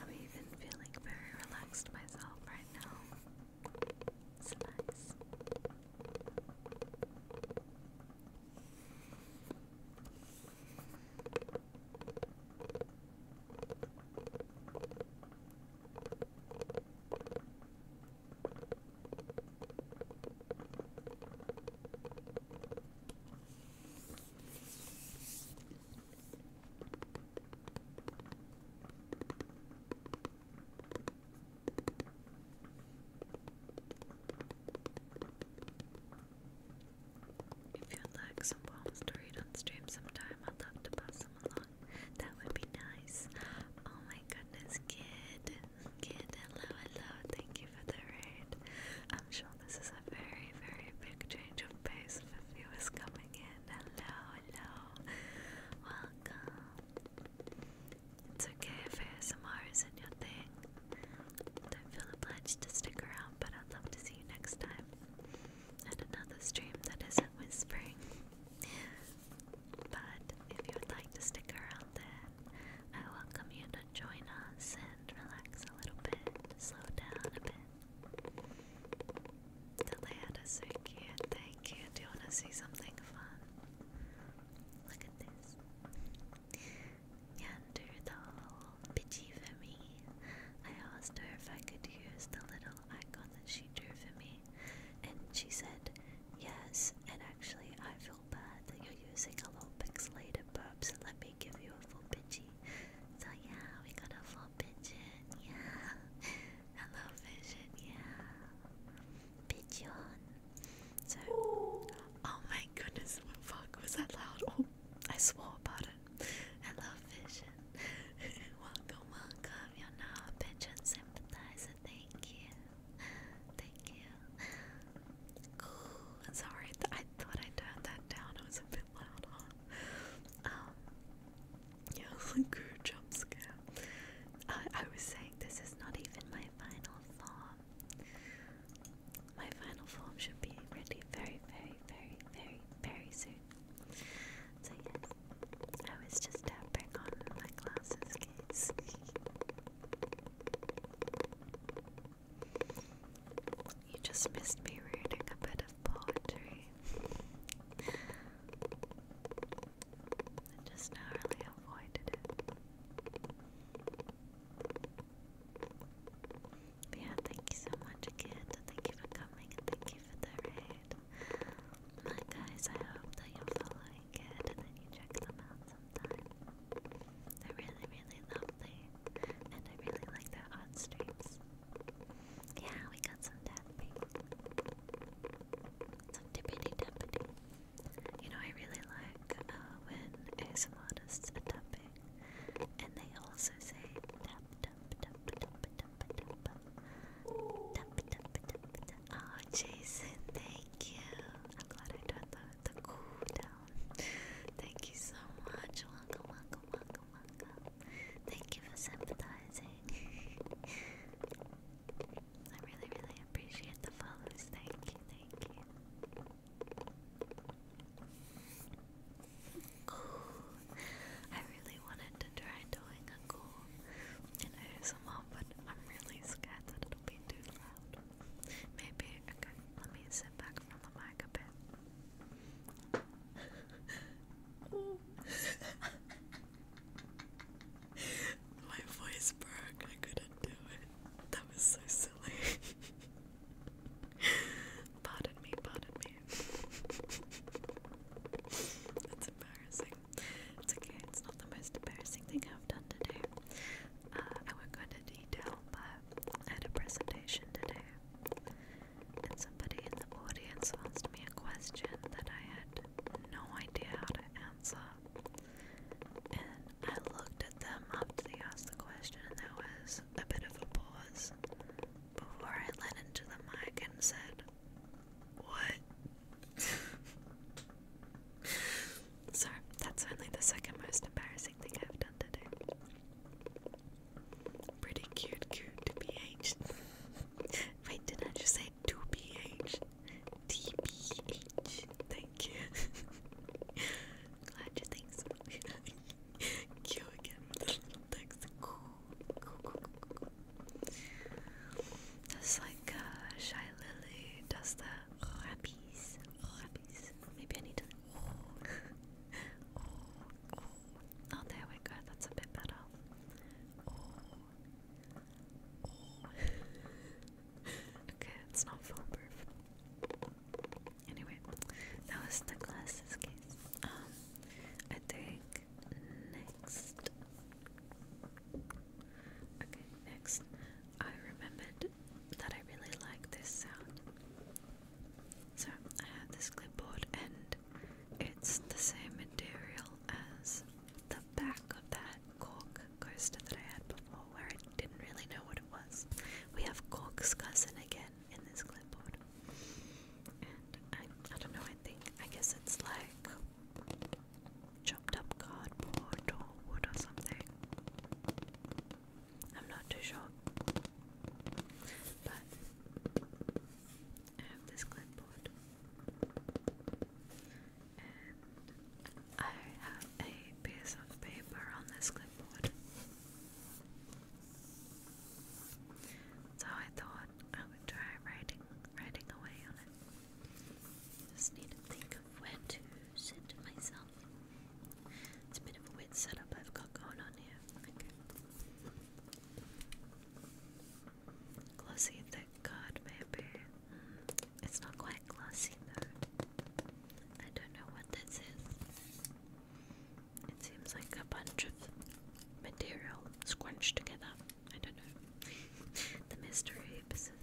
I'm even feeling very relaxed myself right now. It's nice. If you'd like some to read on stream sometime, I'd love to pass them along. That would be nice. Oh my goodness, kid. Kid, hello, hello. Thank you for the raid. I'm sure this is a very, very big change of pace for viewers coming in. Hello, hello. Welcome. It's okay if ASMR isn't your thing. Don't feel obliged to stick around, but I'd love to see you next time. And another stream that isn't whispering. But if you would like to stick around then, I welcome you to join us and relax a little bit, slow down a bit. Delanda, so cute. Thank you. Do you want to see something fun? Look at this. Neanderthal, bitchy for me. I asked her if I could use the little icon that she drew for me, and she said yes. And actually, I feel bad that you're using a little pixelated burp, so let me they give you a full Pidgey. So yeah, we got a full pigeon, yeah. Hello [laughs] vision, yeah. Pigeon. So Oh my goodness, what fuck was that loud? Oh I swore about it. Hello vision. [laughs] welcome, welcome. You're now a pigeon sympathizer, thank you. Thank you. Sorry, I thought I turned that down. It was a bit loud, um, yeah, good [laughs] jump scare. I, uh, I was saying this is not even my final form. My final form should be ready very, very, very, very, very soon. So yes, I was just tapping on my glasses case. You just missed me reading a bit of poetry. I just narrowly avoided it. yeah, thank you so much again. Thank you for coming and thank you for the raid. My guys, I hope that you're following it and that you check them out sometime. They're really, really lovely. And I really like their art streams. Yeah, we got some tapping. Some tippity tappity. You know, I really like uh, when ASM artists tapping and they also say tap tap tap tap tap tap tap. Tap tap tap Oh, Jason, thank you. I'm glad I turned the, cool down. Thank you so much. Welcome, welcome, welcome. Thank you for sympathizing. [laughs] I really, really appreciate the follows. Thank you, thank you. [sighs] I really wanted to try doing a cool in ASMR, but I'm really scared that it'll be too loud. Maybe, okay, let me sit back from the mic a bit oh. My voice broke, I couldn't do it. That was so silly. pardon me, pardon me. That's embarrassing. It's okay, it's not the most embarrassing thing I've done today. Uh, I won't detail, but I had a presentation today and somebody in the audience asked me a question that I had no idea how to answer. And I looked at them after they asked the question, and there was a bit of a pause before I leaned into the mic and said, What? [laughs] so, that's only the second most embarrassing thing I've done today. Pretty cute, cute to Wait, did I just say to be aged? Thank you. Glad you think so. Q again little text. Cool. Cool, cool, cool, cool. That's like uh, Shy Lily does the rappies. Rappies. Maybe I need to. [laughs] Oh oh, there we go. That's a bit better. [laughs] okay, it's not foolproof. Anyway, that was the glasses case. Um, I think next. Okay, next. I remembered that I really like this sound. So I have this clipboard and it's the same material as the back of that cork coaster that I had before where I didn't really know what it was. We have cork's cousin again in this clipboard. And I, I don't know, I think, I guess it's like chopped up cardboard or wood or something. I'm not too sure. But I have this clipboard and I have a piece of paper on this clipboard. So I thought I would try writing writing away on it. Just need to think of where to sit myself. It's a bit of a weird setup I've got going on here. Glossy thick card, maybe. Hmm, it's not quite glossy though. I don't know what this is. It seems like a bunch of material scrunched together. I don't know. [laughs] the mystery persists.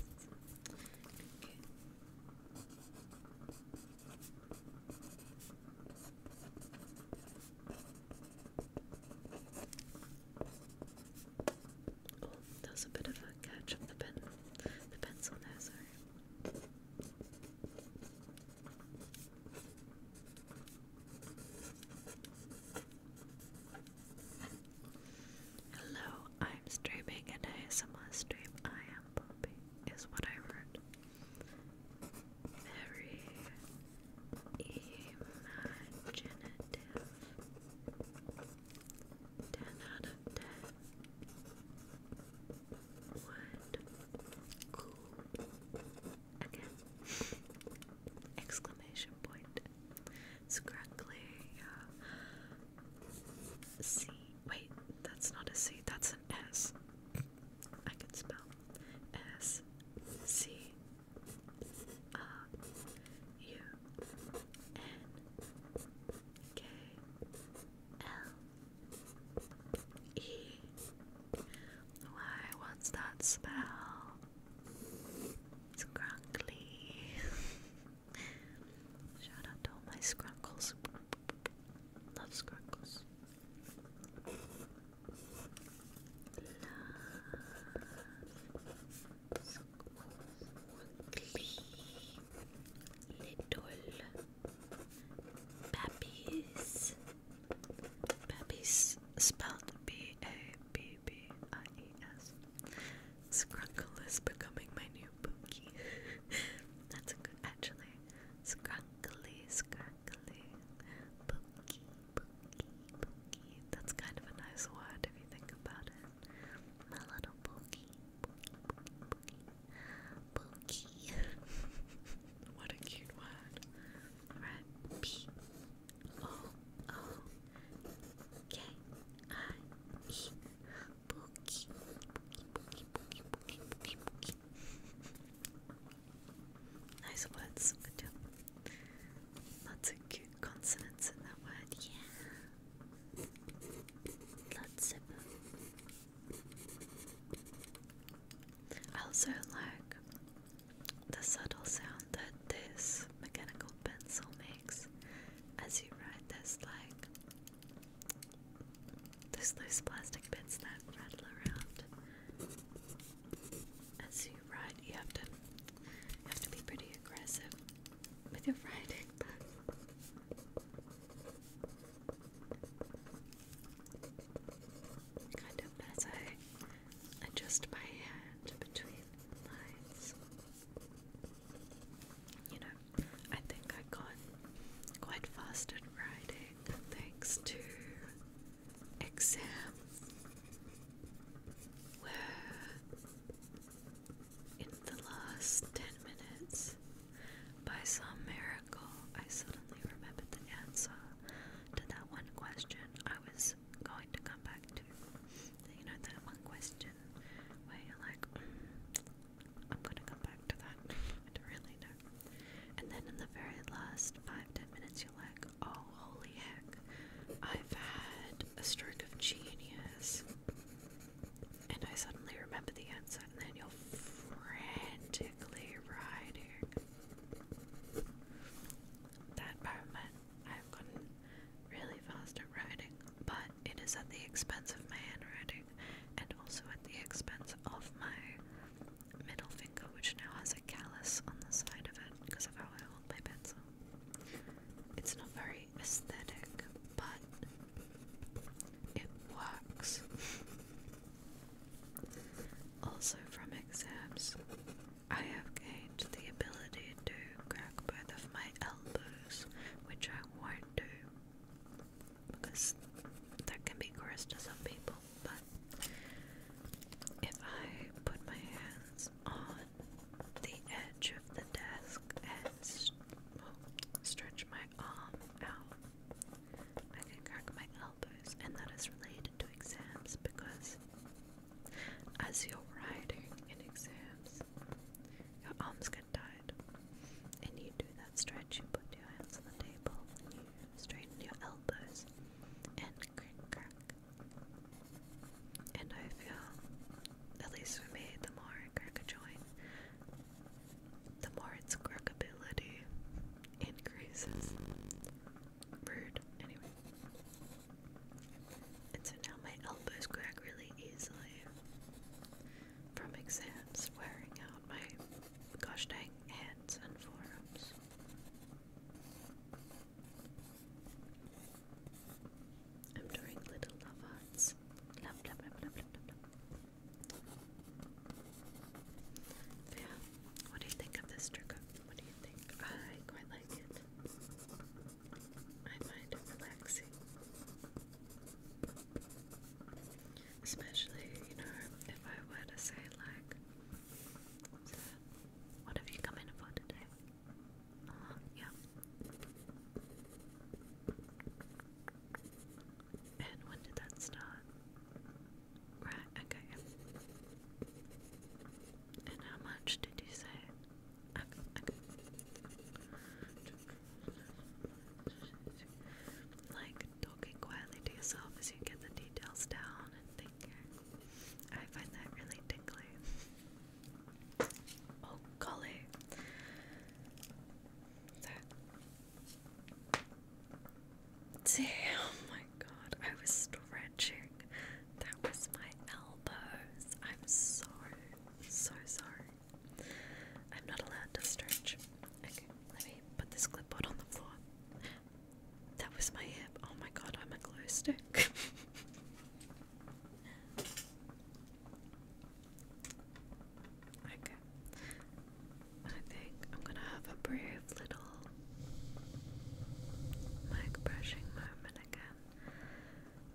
Oh, that was a bit of a catch of the pen, the pencil now, Hello, I'm streaming an ASMR stream. I am Poppy, is what I wrote very imaginative. Ten out of ten would cool again exclamation point it's correctly uh, C wait that's not a C that's an S I can spell S C R uh, U N K L E. Why? What's that spell? Scrunkly. [laughs] Shout out to all my scrunkles. Love scrunkles little puppies. Puppies spelled B A B B I E S. Scrunkle is becoming my new pokey. [laughs] That's good actually. Scrunkly, scrunkly, pokey. That's kind of a nice word if you think about it. My little pookie, pookie, pookie, pookie. [laughs] Pookie. what a cute word. Right. P O O K I E. Pookie. Pookie, Nice words. Good job. Lots of cute consonants in that word. Yeah. Lots of them. I also like the subtle sound that this mechanical pencil makes as you write this like those loose plastic bits that rattle around as you right. You have to have to be pretty aggressive with your writing. kind of as I adjust my hand between lines. You know, I think I got quite fast at writing thanks to exam where in the last 10 minutes, by some miracle, I suddenly remembered the answer to that one question I was going to come back to. You know, that one question where you're like, mm, I'm going to come back to that. I don't really know. And then in the very last 5 minutes, like, oh, holy heck, I've had a stroke of genius. And I suddenly remember the answer, and then you're frantically writing. That moment, I've gotten really fast at writing, but it is at the expense of my handwriting and also at the expense of my middle finger, which now has a callus on the side of it because of how I hold my pencil. It's not very aesthetic, but it works. [laughs] also, from exams, I have gained the ability to crack both of my elbows, which I won't do because that can be gross to some people but if I put my hands on the edge of the desk and stretch my arm out, I can crack my elbows, and that is related to exams because as you're writing in exams, your arms get tired, and you do that stretch. You put your hands on the table, straighten your elbows, and and I feel, at least for me, the more I crack a joint, the more its crackability increases. Rude, anyway. And so now my elbows crack really easily from exams wearing out my gosh dang hands and forearms. I'm drawing little love hearts. Yeah. What do you think of this trigger? What do you think? I quite like it. I find it relaxing. Especially, you know, if I were to say like what have you come in for today? yeah. And when did that start? Right, okay. And how much did you say? Like talking quietly to yourself as you get the details down I find that really tingly. Oh golly. That Damn my god, I was stretching. That was my elbows. I'm sorry. So sorry. I'm not allowed to stretch. Okay, let me put this clipboard on the floor. That was my hip. Oh my god, I'm a glow stick. [laughs] okay. I think I'm gonna have a brave little mic brushing moment again.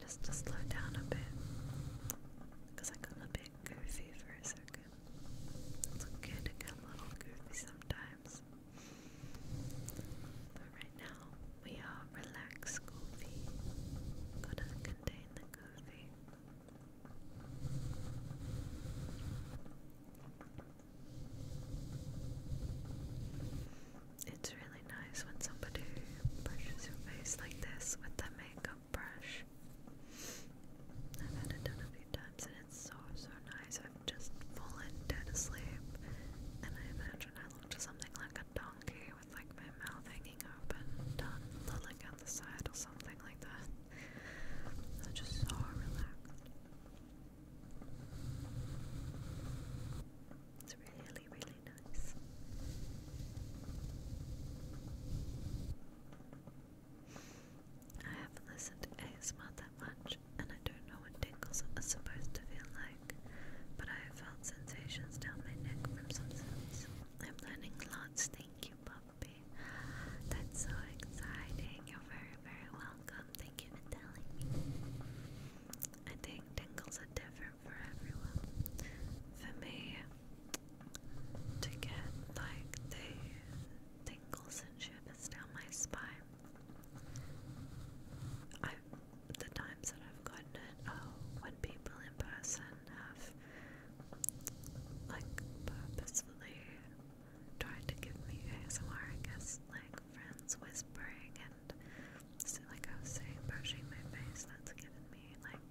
Just to slow down a bit. I got a bit goofy for a second. It's okay to get a little goofy sometimes. But right now, we are relaxed Goofy. Gotta contain the Goofy. It's really nice when somebody brushes your face like this with the makeup brush. I've had it done a few times and it's so so nice. I've just fallen dead asleep, and I imagine I looked something like a donkey with like my mouth hanging open, done on the side or something like that. i just so relaxed. It's really, really nice. I haven't listened to ASMR that much and I don't know what tingles are supposed to feel like, but I have felt sensations down my neck from some sense. I'm learning lots, thank you, Poppy. That's so exciting. You're very, very welcome. Thank you for telling me. I think tingles are different for everyone. For me, to get like the tingles and shivers down my spine, I've the times that I've gotten it, oh, when people in person have, like, purposefully tried to give me ASMR, I guess, like, friends whispering and, like I was saying, brushing my face, that's given me, like,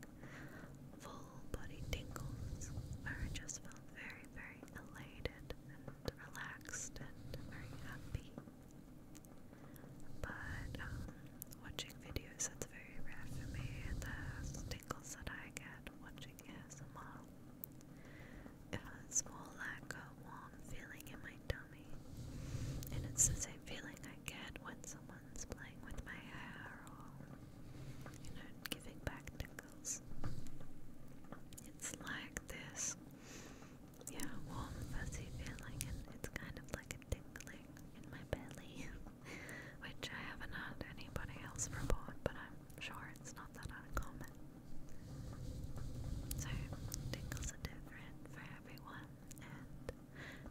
full body tingles, where I just felt very, very elated and relaxed and very happy but um, watching videos that's very rare for me. The tingles that I get watching it it's more like a warm feeling in my tummy, and it's the same feeling I get when someone's playing with my hair or you know giving back tingles. It's like this yeah, warm, fuzzy feeling, and it's kind of like a tingling in my belly, [laughs] which I haven't heard anybody else report, but I'm sure it's not that uncommon. So, tingles are different for everyone, and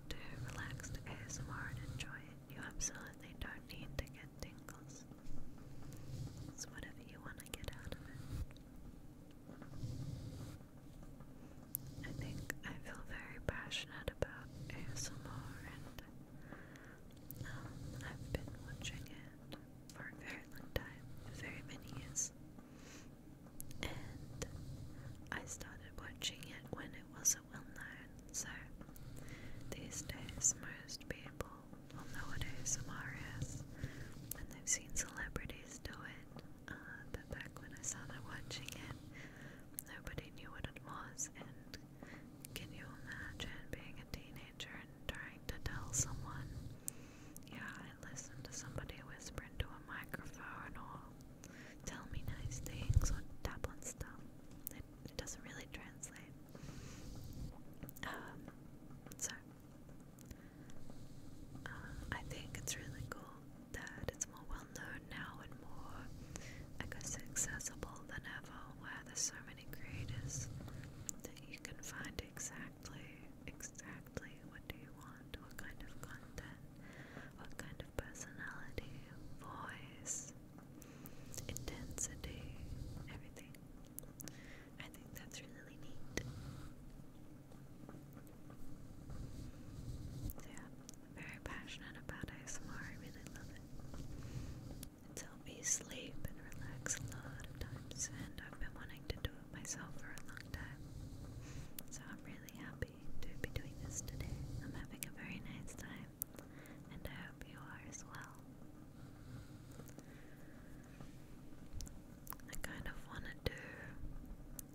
to relax to ASMR and enjoy it, you absolutely don't need to get tingles. It's whatever you want to get out of it. I think I feel very passionate about ASMR and um, I've been watching it for a very long time, very many years. And I started watching it when it wasn't well known, so these days most people will know what ASMR is, and they've seen celebrities do it, uh, that back when I started watching it, nobody knew what it was, and can you imagine being a teenager and trying to tell someone, yeah, I listened to somebody whisper into a microphone and all. tell me nice things on tap on stuff. It, it doesn't really translate. Um, so uh, I think it's really cool that it's more well known now and more, accessible than ever, where there's so many creators that you can find exactly, exactly what do you want, what kind of content, what kind of personality, voice, intensity, everything. I think that's really neat yeah, I'm very passionate about ASMR. I really love it. It's helped me sleep and relax a lot of times, and I've been wanting to do it myself for a long time. So I'm really happy to be doing this today. I'm having a very nice time, and I hope you are as well. I kind of want to do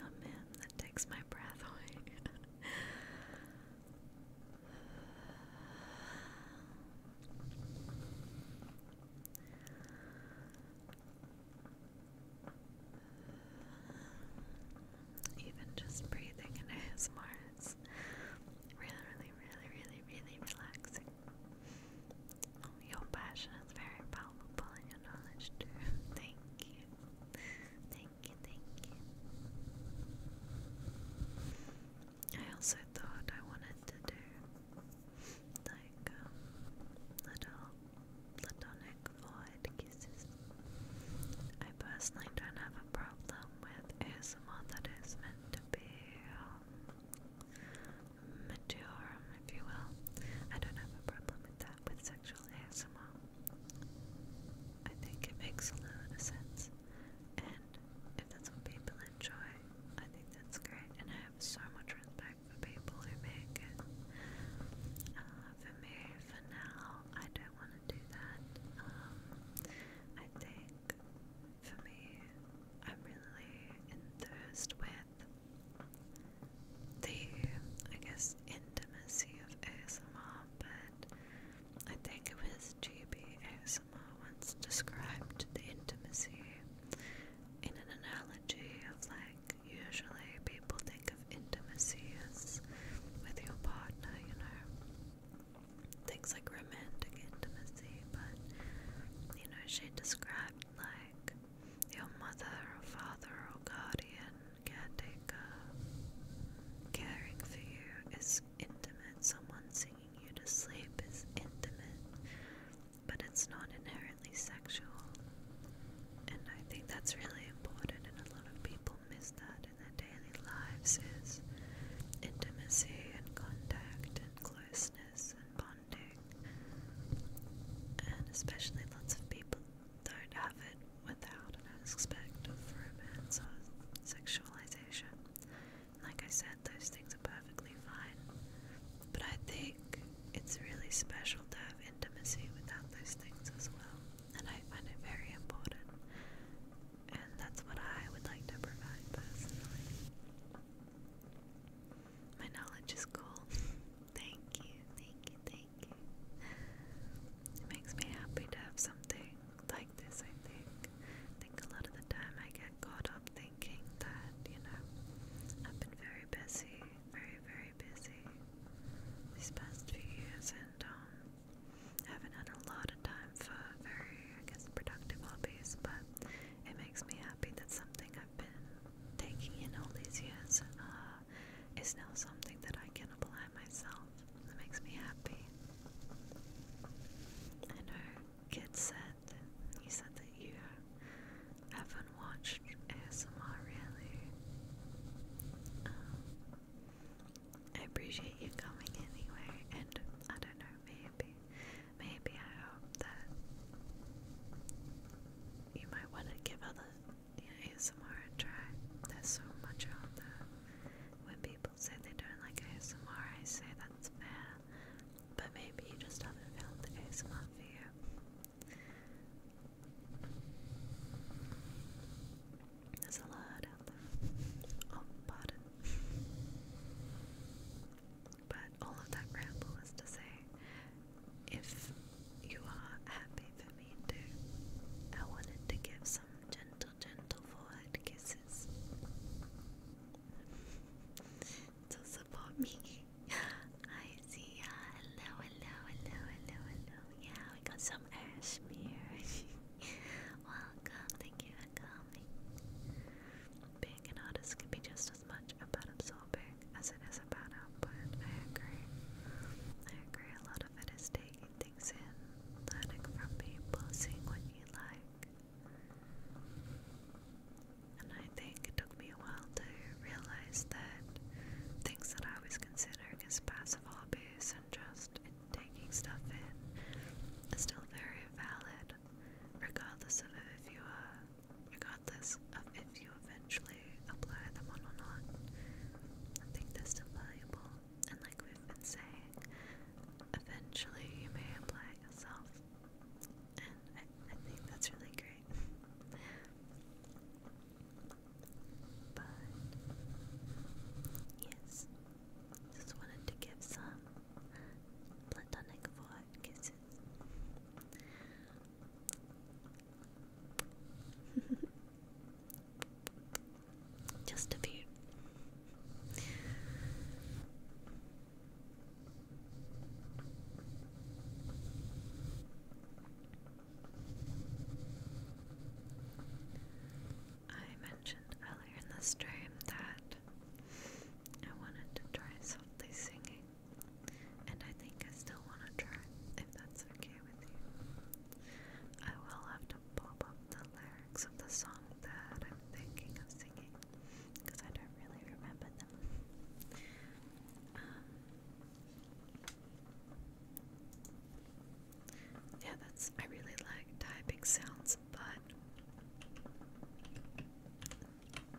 Oh man, that takes my breath away. [laughs] Even just breathing in ASMR is really, really, really, really, really relaxing. Your passion is very palpable and your knowledge too. [laughs] Thank you. Thank you, thank you. I also thought I wanted to do like um, little platonic void kisses. I personally don't have a problem with ASMR that is meant to be um, mature, if you will. I don't have a problem with that with sexual ASMR. I think it makes a lot of sense, and if that's what people enjoy, I think that's great. And I have so much respect for people who make it. Uh, for me, for now, I don't want to do that. Um, I think for me, I'm really enthused with the, I guess, intimacy of ASMR, but I think it was GB ASMR once described the intimacy in an analogy of like, usually people think of intimacy as with your partner, you know things like romantic intimacy, but you know, she described like your mother or father or guardian, caretaker, caring for you is intimate. Someone singing you to sleep is intimate, but it's not inherently sexual. And I think that's really important, and a lot of people miss that in their daily lives is intimacy and contact and closeness and bonding. And especially lots of people don't have it without an aspect of romance or sexualization. Like I said, those things are perfectly fine. But I think it's really special to have intimacy without those things as well. And I find it very important. And that's what I would like to provide personally. My knowledge is cool. [laughs] thank you, thank you, thank you. It makes me happy to have something like this, I think. I think a lot of the time I get caught up thinking that, you know, I've been very busy, very, very busy these past few years and um, haven't had a lot of time for very, I guess, productive hobbies, but it makes me happy that something I've been taking in all these years uh, is now something that I can apply myself. It makes me happy. And her kid said, he said that you haven't watched ASMR really. Um, I appreciate you coming anyway, and I don't know, maybe maybe I hope that you might want to give other ASMR a try. There's so much out there. When people say they don't like ASMR, I say that's fair. But maybe you just haven't found the ASMR for you. There's a lot out there. Oh, pardon. But all of that ramble is to say, if you are happy for me too, I wanted to give some gentle, gentle forehead kisses to support me. [laughs] I see. Uh, hello, hello, hello, hello, hello. Yeah, we got some air [laughs] Welcome. Thank you um, being an artist can be just as much about absorbing as it is about output. I agree. I agree. A lot of it is taking things in, learning from people, seeing what you like. And I think it took me a while to realize that things that I was considering as passive hobbies and just taking stuff in are still very valid regardless of if you are, regardless of if you eventually apply them on or not. I think they're still valuable, and like we've been saying, eventually you may apply yourself, and I, think that's really great. but yes, just wanted to give some platonic for [laughs] Just a few. I mentioned earlier in the stream that I wanted to try softly singing, and I think I still want to try, if that's okay with you. I will have to pop up the lyrics of the song that I'm thinking of singing, because I don't really remember them. Um, yeah, that's. I really like typing sounds, but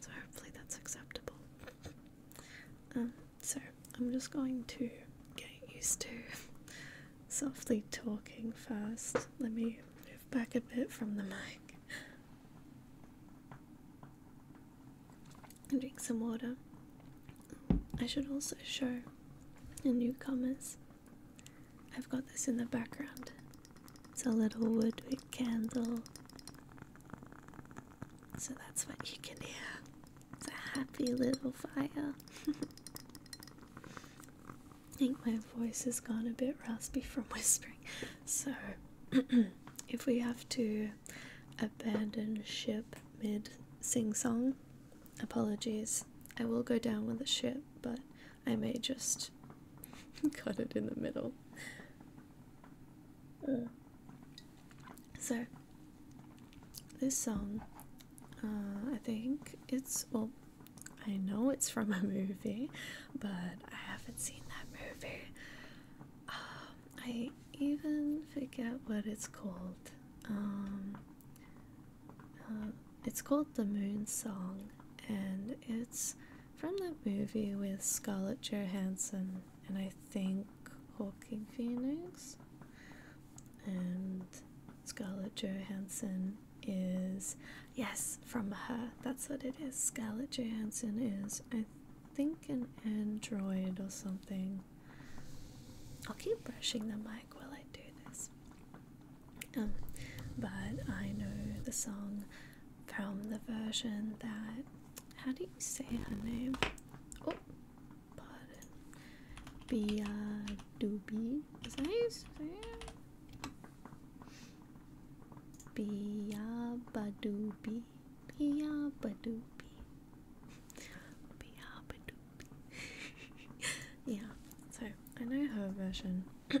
So hopefully that's acceptable. Um, so I'm just going to get used to softly talking first. Let me move back a bit from the mic. And drink some water. I should also show the newcomers. I've got this in the background. It's a little woodwick candle so that's what you can hear. It's a happy little fire. [laughs] I think my voice has gone a bit raspy from [laughs] whispering. So, [clears throat] if we have to abandon ship mid sing song, apologies. I will go down with the ship, but I may just cut [laughs] it in the middle. So, this song, uh, I think it's, well, I know it's from a [laughs] movie, but I haven't seen that movie. Um, I even forget what it's called. Um, uh, it's called The Moon Song, and it's from that movie with Scarlett Johansson and I think Hawking Phoenix. And Scarlett Johansson is, yes, from her. That's what it is. Scarlett Johansson is, I think, an android or something. I'll keep brushing the mic while I do this. Um, but I know the song from the version that how do you say her name? Oh, pardon. Bia Doobie. Is that how you say it? Bia Badoobi. Bia Badoobi. Bia [laughs] yeah, so I know her version. [clears throat]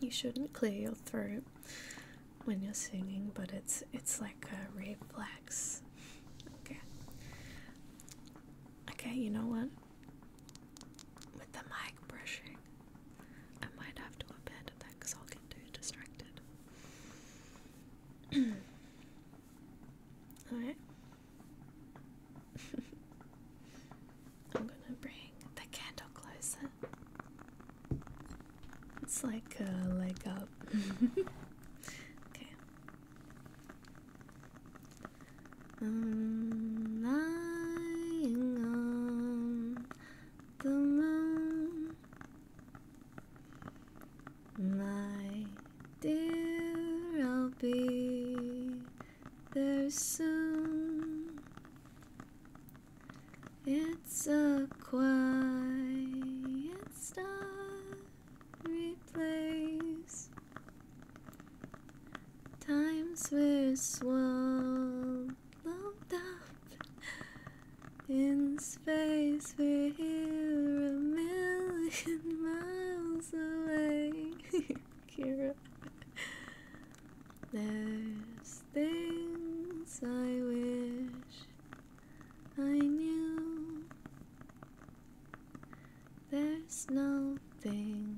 you shouldn't clear your throat when you're singing, but it's it's like a reflex. Okay. Okay, you know what? With the mic brushing, I might have to abandon that because I'll get too distracted. [clears throat] Alright. I'm gonna bring the candle closer. It's like a uh, leg up. [laughs] okay. I'm lying on the moon, my dear. I'll be there's soon. It's a quiet starry place. Times we're swallowed up in space. We're here a million [laughs] miles away. [laughs] Kira. There's things I wish I knew. There's nothing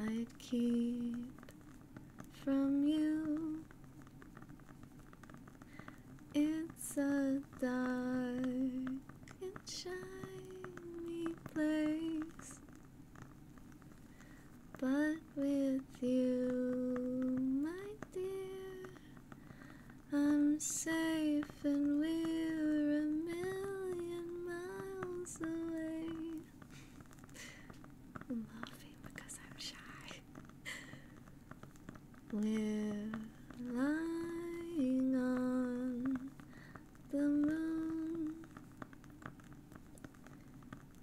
I'd keep from you. It's a dark and shiny place, but with you, my dear, I'm safe and we're a million miles away. I'm laughing because I'm shy. We're lying on the moon.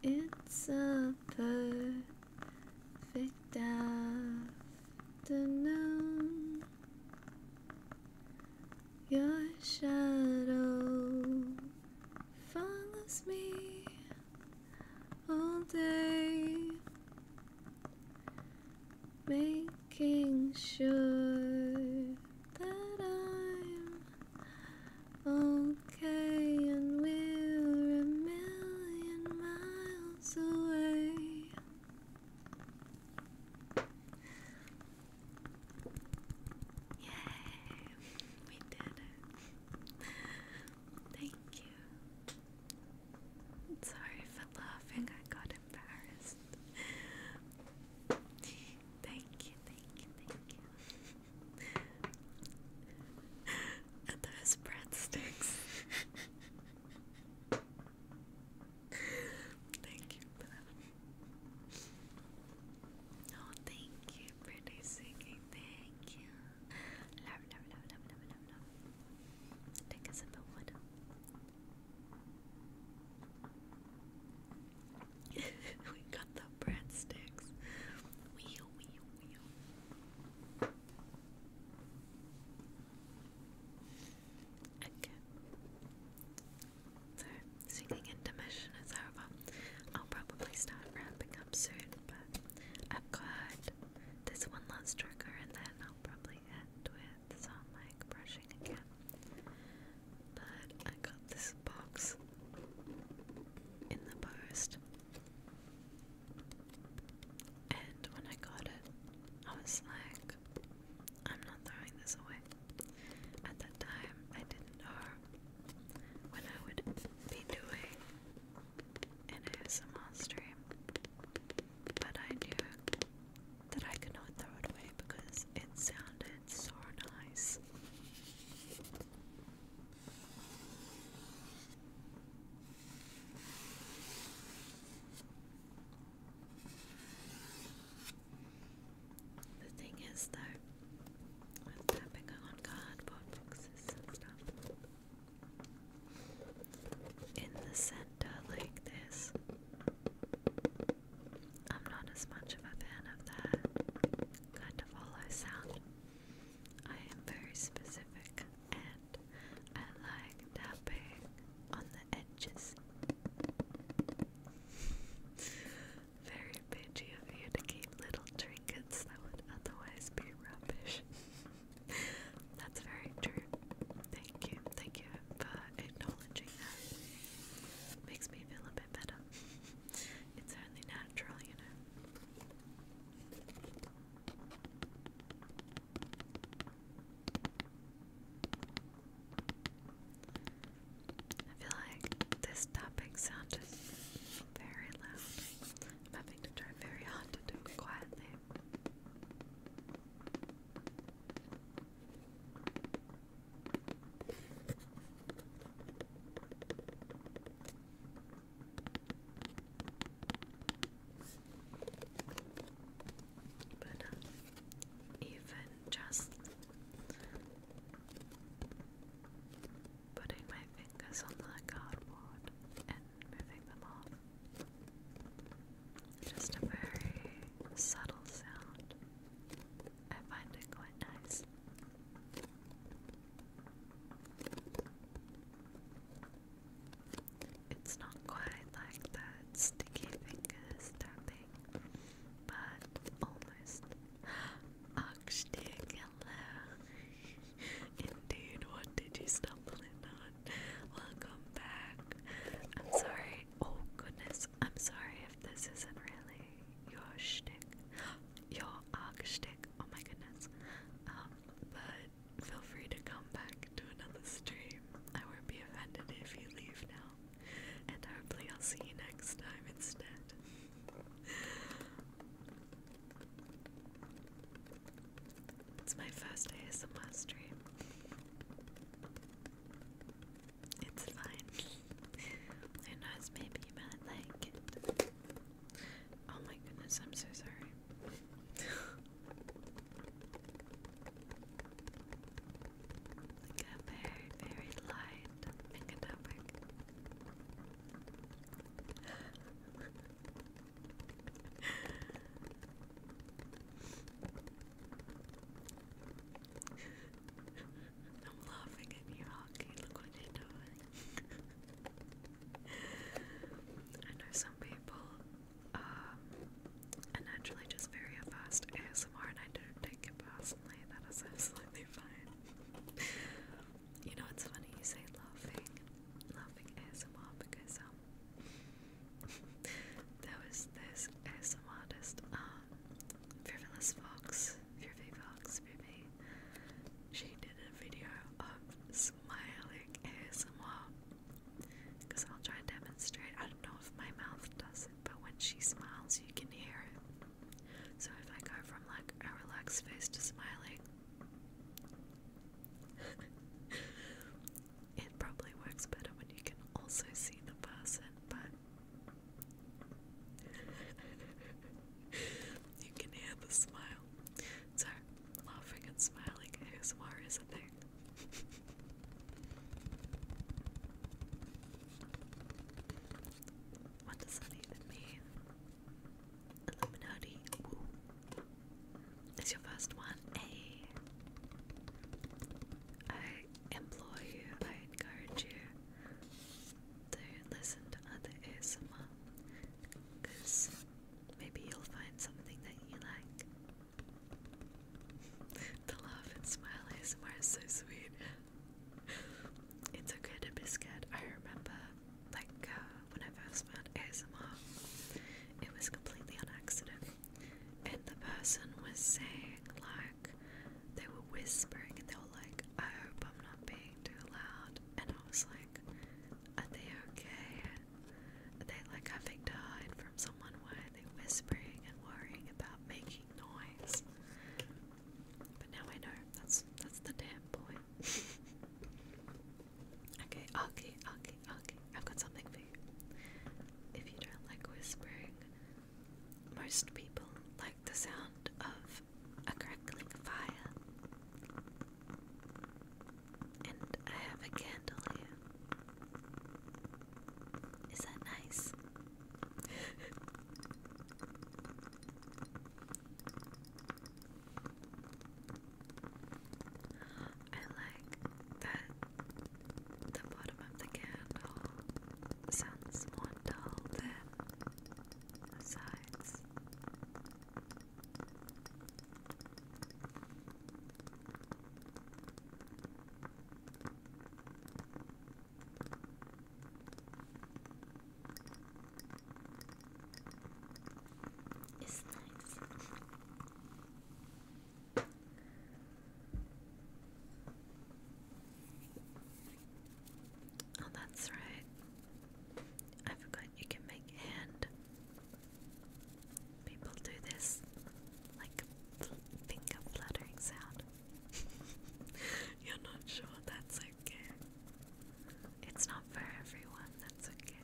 It's a perfect afternoon. Your shadow follows me all day. Make making sure that I'm okay and we're a million miles away. Yay, we did it. Thank you. sorry for laughing, I got embarrassed thank you, thank you, thank you. and those breadsticks. thank you for that. Oh, thank you, pretty singing. Thank you. Love, love, love, love, love, love, love. Take a sip of water. [laughs] we got the breadsticks. Okay. So, singing intermission is over. I'll probably start wrapping up soon, but I've got this one last trigger and then I'll probably end with some like brushing again but I got this box in the post. And when I got it, I was like, I'm not throwing this away. At that time, I didn't know when I would be doing an ASMR stream, but I knew that I could not throw it away because it sounded so nice. The thing is, though, with tapping on cardboard boxes and stuff, in the center like this, I'm not as much of a fan of that kind of hollow sound. I am very specific and I like tapping on the edges. [laughs] Very bitchy of you to keep little trinkets that would otherwise be rubbish. [laughs] That's very true. Thank you. Thank you for acknowledging that. Makes me feel a bit better. [laughs] It's only natural, you know. I feel like this topic sounded very loud. I'm having to try very hard to do it quietly. But uh, even just putting my fingers on the cardboard and moving them off. Just a very subtle sound. I find it quite nice. It's not quite like that sticky fingers tapping, but almost. Oxtig, hello. [laughs] Indeed, what did you stumble in on? Welcome back. I'm sorry. Oh goodness, I'm sorry if this isn't really your shtick, [gasps] your arc shtick. Oh my goodness. Um, but feel free to come back to another stream. I won't be offended if you leave now. And hopefully, I'll see you next time instead. it's my first ASMR stream. It's fine. Who knows? Maybe you like Oh my goodness, I'm so sorry. very, very light topic. I'm laughing at you, Hockey. Look what you're [laughs] I know some people um, naturally just very fast ASMR, and I don't take it personally. That is absolutely fine. [laughs] you know, it's funny you say laughing, laughing ASMR because um, [laughs] there was this ASMR artist. Um, Fearless Fox, Fearfay Fox, baby. She did a video of smiling ASMR. Because I'll try and demonstrate. I don't know if my mouth does it, but when she smiles, you can hear it. So if I go from like a relaxed face to smiling, [laughs] it probably works better when you can also see the person, but [laughs] you can hear the smile. So, laughing and smiling ASMR is a thing. [laughs] what does that even mean? Illuminati. It's your first one. Hey. I you, I encourage you to listen to other ASMR because maybe you'll find something that you like. [laughs] the love and smile ASMR is so sweet. it's okay to be scared. I remember, like, uh, when I first found ASMR, it was completely on accident. And the person was saying, like, they were whispering and they were like, I hope I'm not being too loud. And I was like, Are they okay? Are they like having to hide from someone? Why are they whispering and worrying about making noise? But now I know that's that's the damn point. [laughs] okay, okay, okay, okay. I've got something for you. If you don't like whispering, most people like the sound of a crackling fire. And I have a candle here. Is that nice? [laughs] I like that the bottom of the candle sounds more the It's nice. Oh, that's right. I forgot you can make hand. People do this like a fluttering sound. [laughs] You're not sure, that's okay. It's not for everyone, that's okay.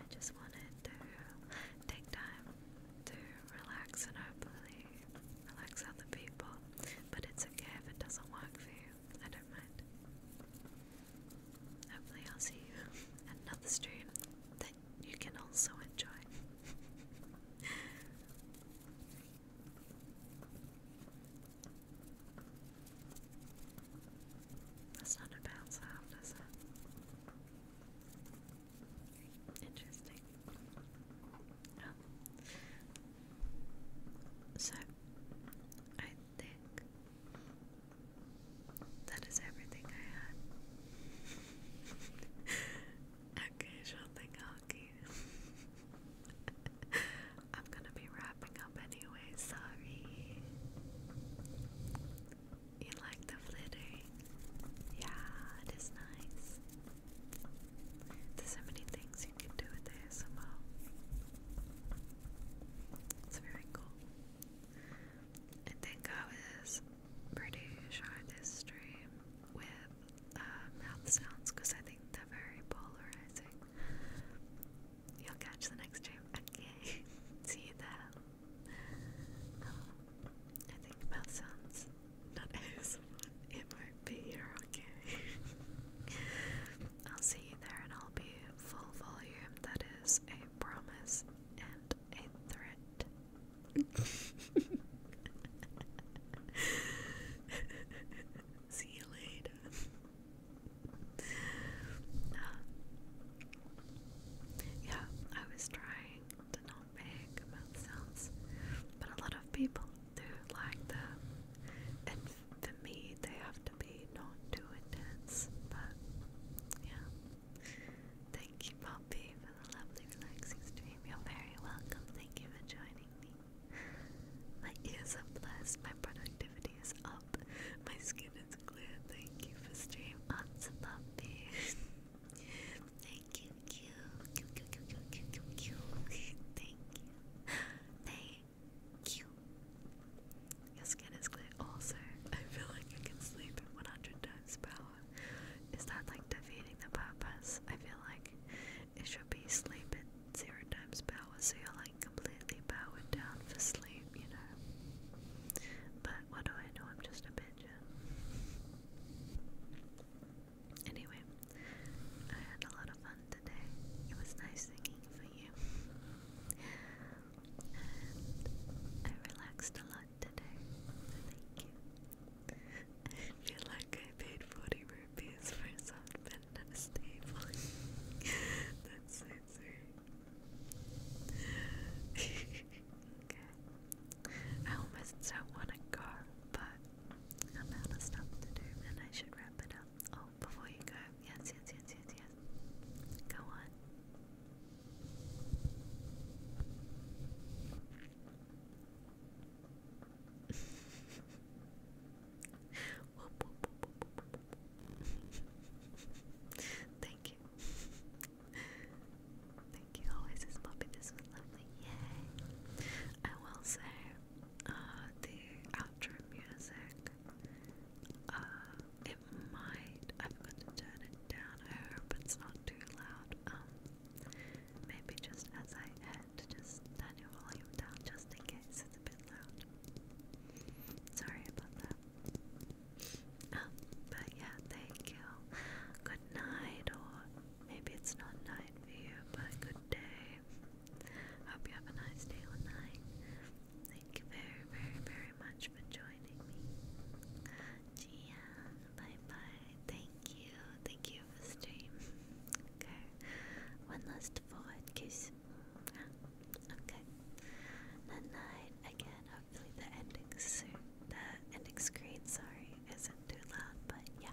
I just wanted to take time to relax and hopefully relax other people, but it's okay if it doesn't work for you. I don't mind. Hopefully, I'll see you at [laughs] another stream that you can also enjoy. [laughs] That's not a bad sound, is it? Interesting. Oh. So, I think that is everything I had. [laughs] Occasional thing hockey. [laughs] I'm gonna be wrapping up anyway, sorry. You like the flittering? Yeah, it is nice. There's so many things you can do with ASMR. It's very cool. I think I was pretty sure this with mouth um, sounds because I think they're very polarizing. You'll catch the next stream. Okay, [laughs] see you there. I think mouth sounds not it might be okay? [laughs] I'll see you there and I'll be full volume, that is a promise and a threat. [laughs] see you later. [laughs] Uh, yeah, I was trying do not make mouth sounds, but a lot of people do like them. And for me, they have to be not too intense, but yeah. Thank you, Poppy, for the lovely, relaxing stream. You're very welcome. Thank you for joining me. My ears are blessed, my productivity is up, my skin is clear. Thank you for stream. Answer, Poppy. [laughs] you, Q. Q, Q, Q, Thank you. Thank you. Your skin is clear. Also, I feel like you can sleep at 100 times power. Is that like defeating the purpose? I feel like it should be sleep at zero times power, so you're like completely powered down for sleep, you know? But what do I know? I'm just a pigeon. Anyway, I had a lot of fun today. It was nice singing for you. And I relaxed a lot today. thank you. I feel like I paid 40 rupees for a soft pen and a staple. That's so sweet. [laughs] okay. I almost don't want to go, but amount of stuff to do, and I should wrap it up. Oh, before you go, yes, yes, yes, yes, yes. Go on. Thank you. Thank you. Always is Bobby. This was lovely. Yay! I will say, uh, the outro music, uh, it might, I'm going to turn it down, I hope it's not too loud, um, maybe just as I end, just turn down just in case it's a bit loud. Sorry about that. Um, but yeah, thank you. Good night, Maybe it's not night for you, but good day. Hope you have a nice day or night. Thank you very, very, very much for joining me. Gia, bye bye. Thank you. Thank you for the Okay. One last forward kiss. Okay. Night night again. Hopefully the ending soon. The ending screen, sorry, isn't too loud, but yeah.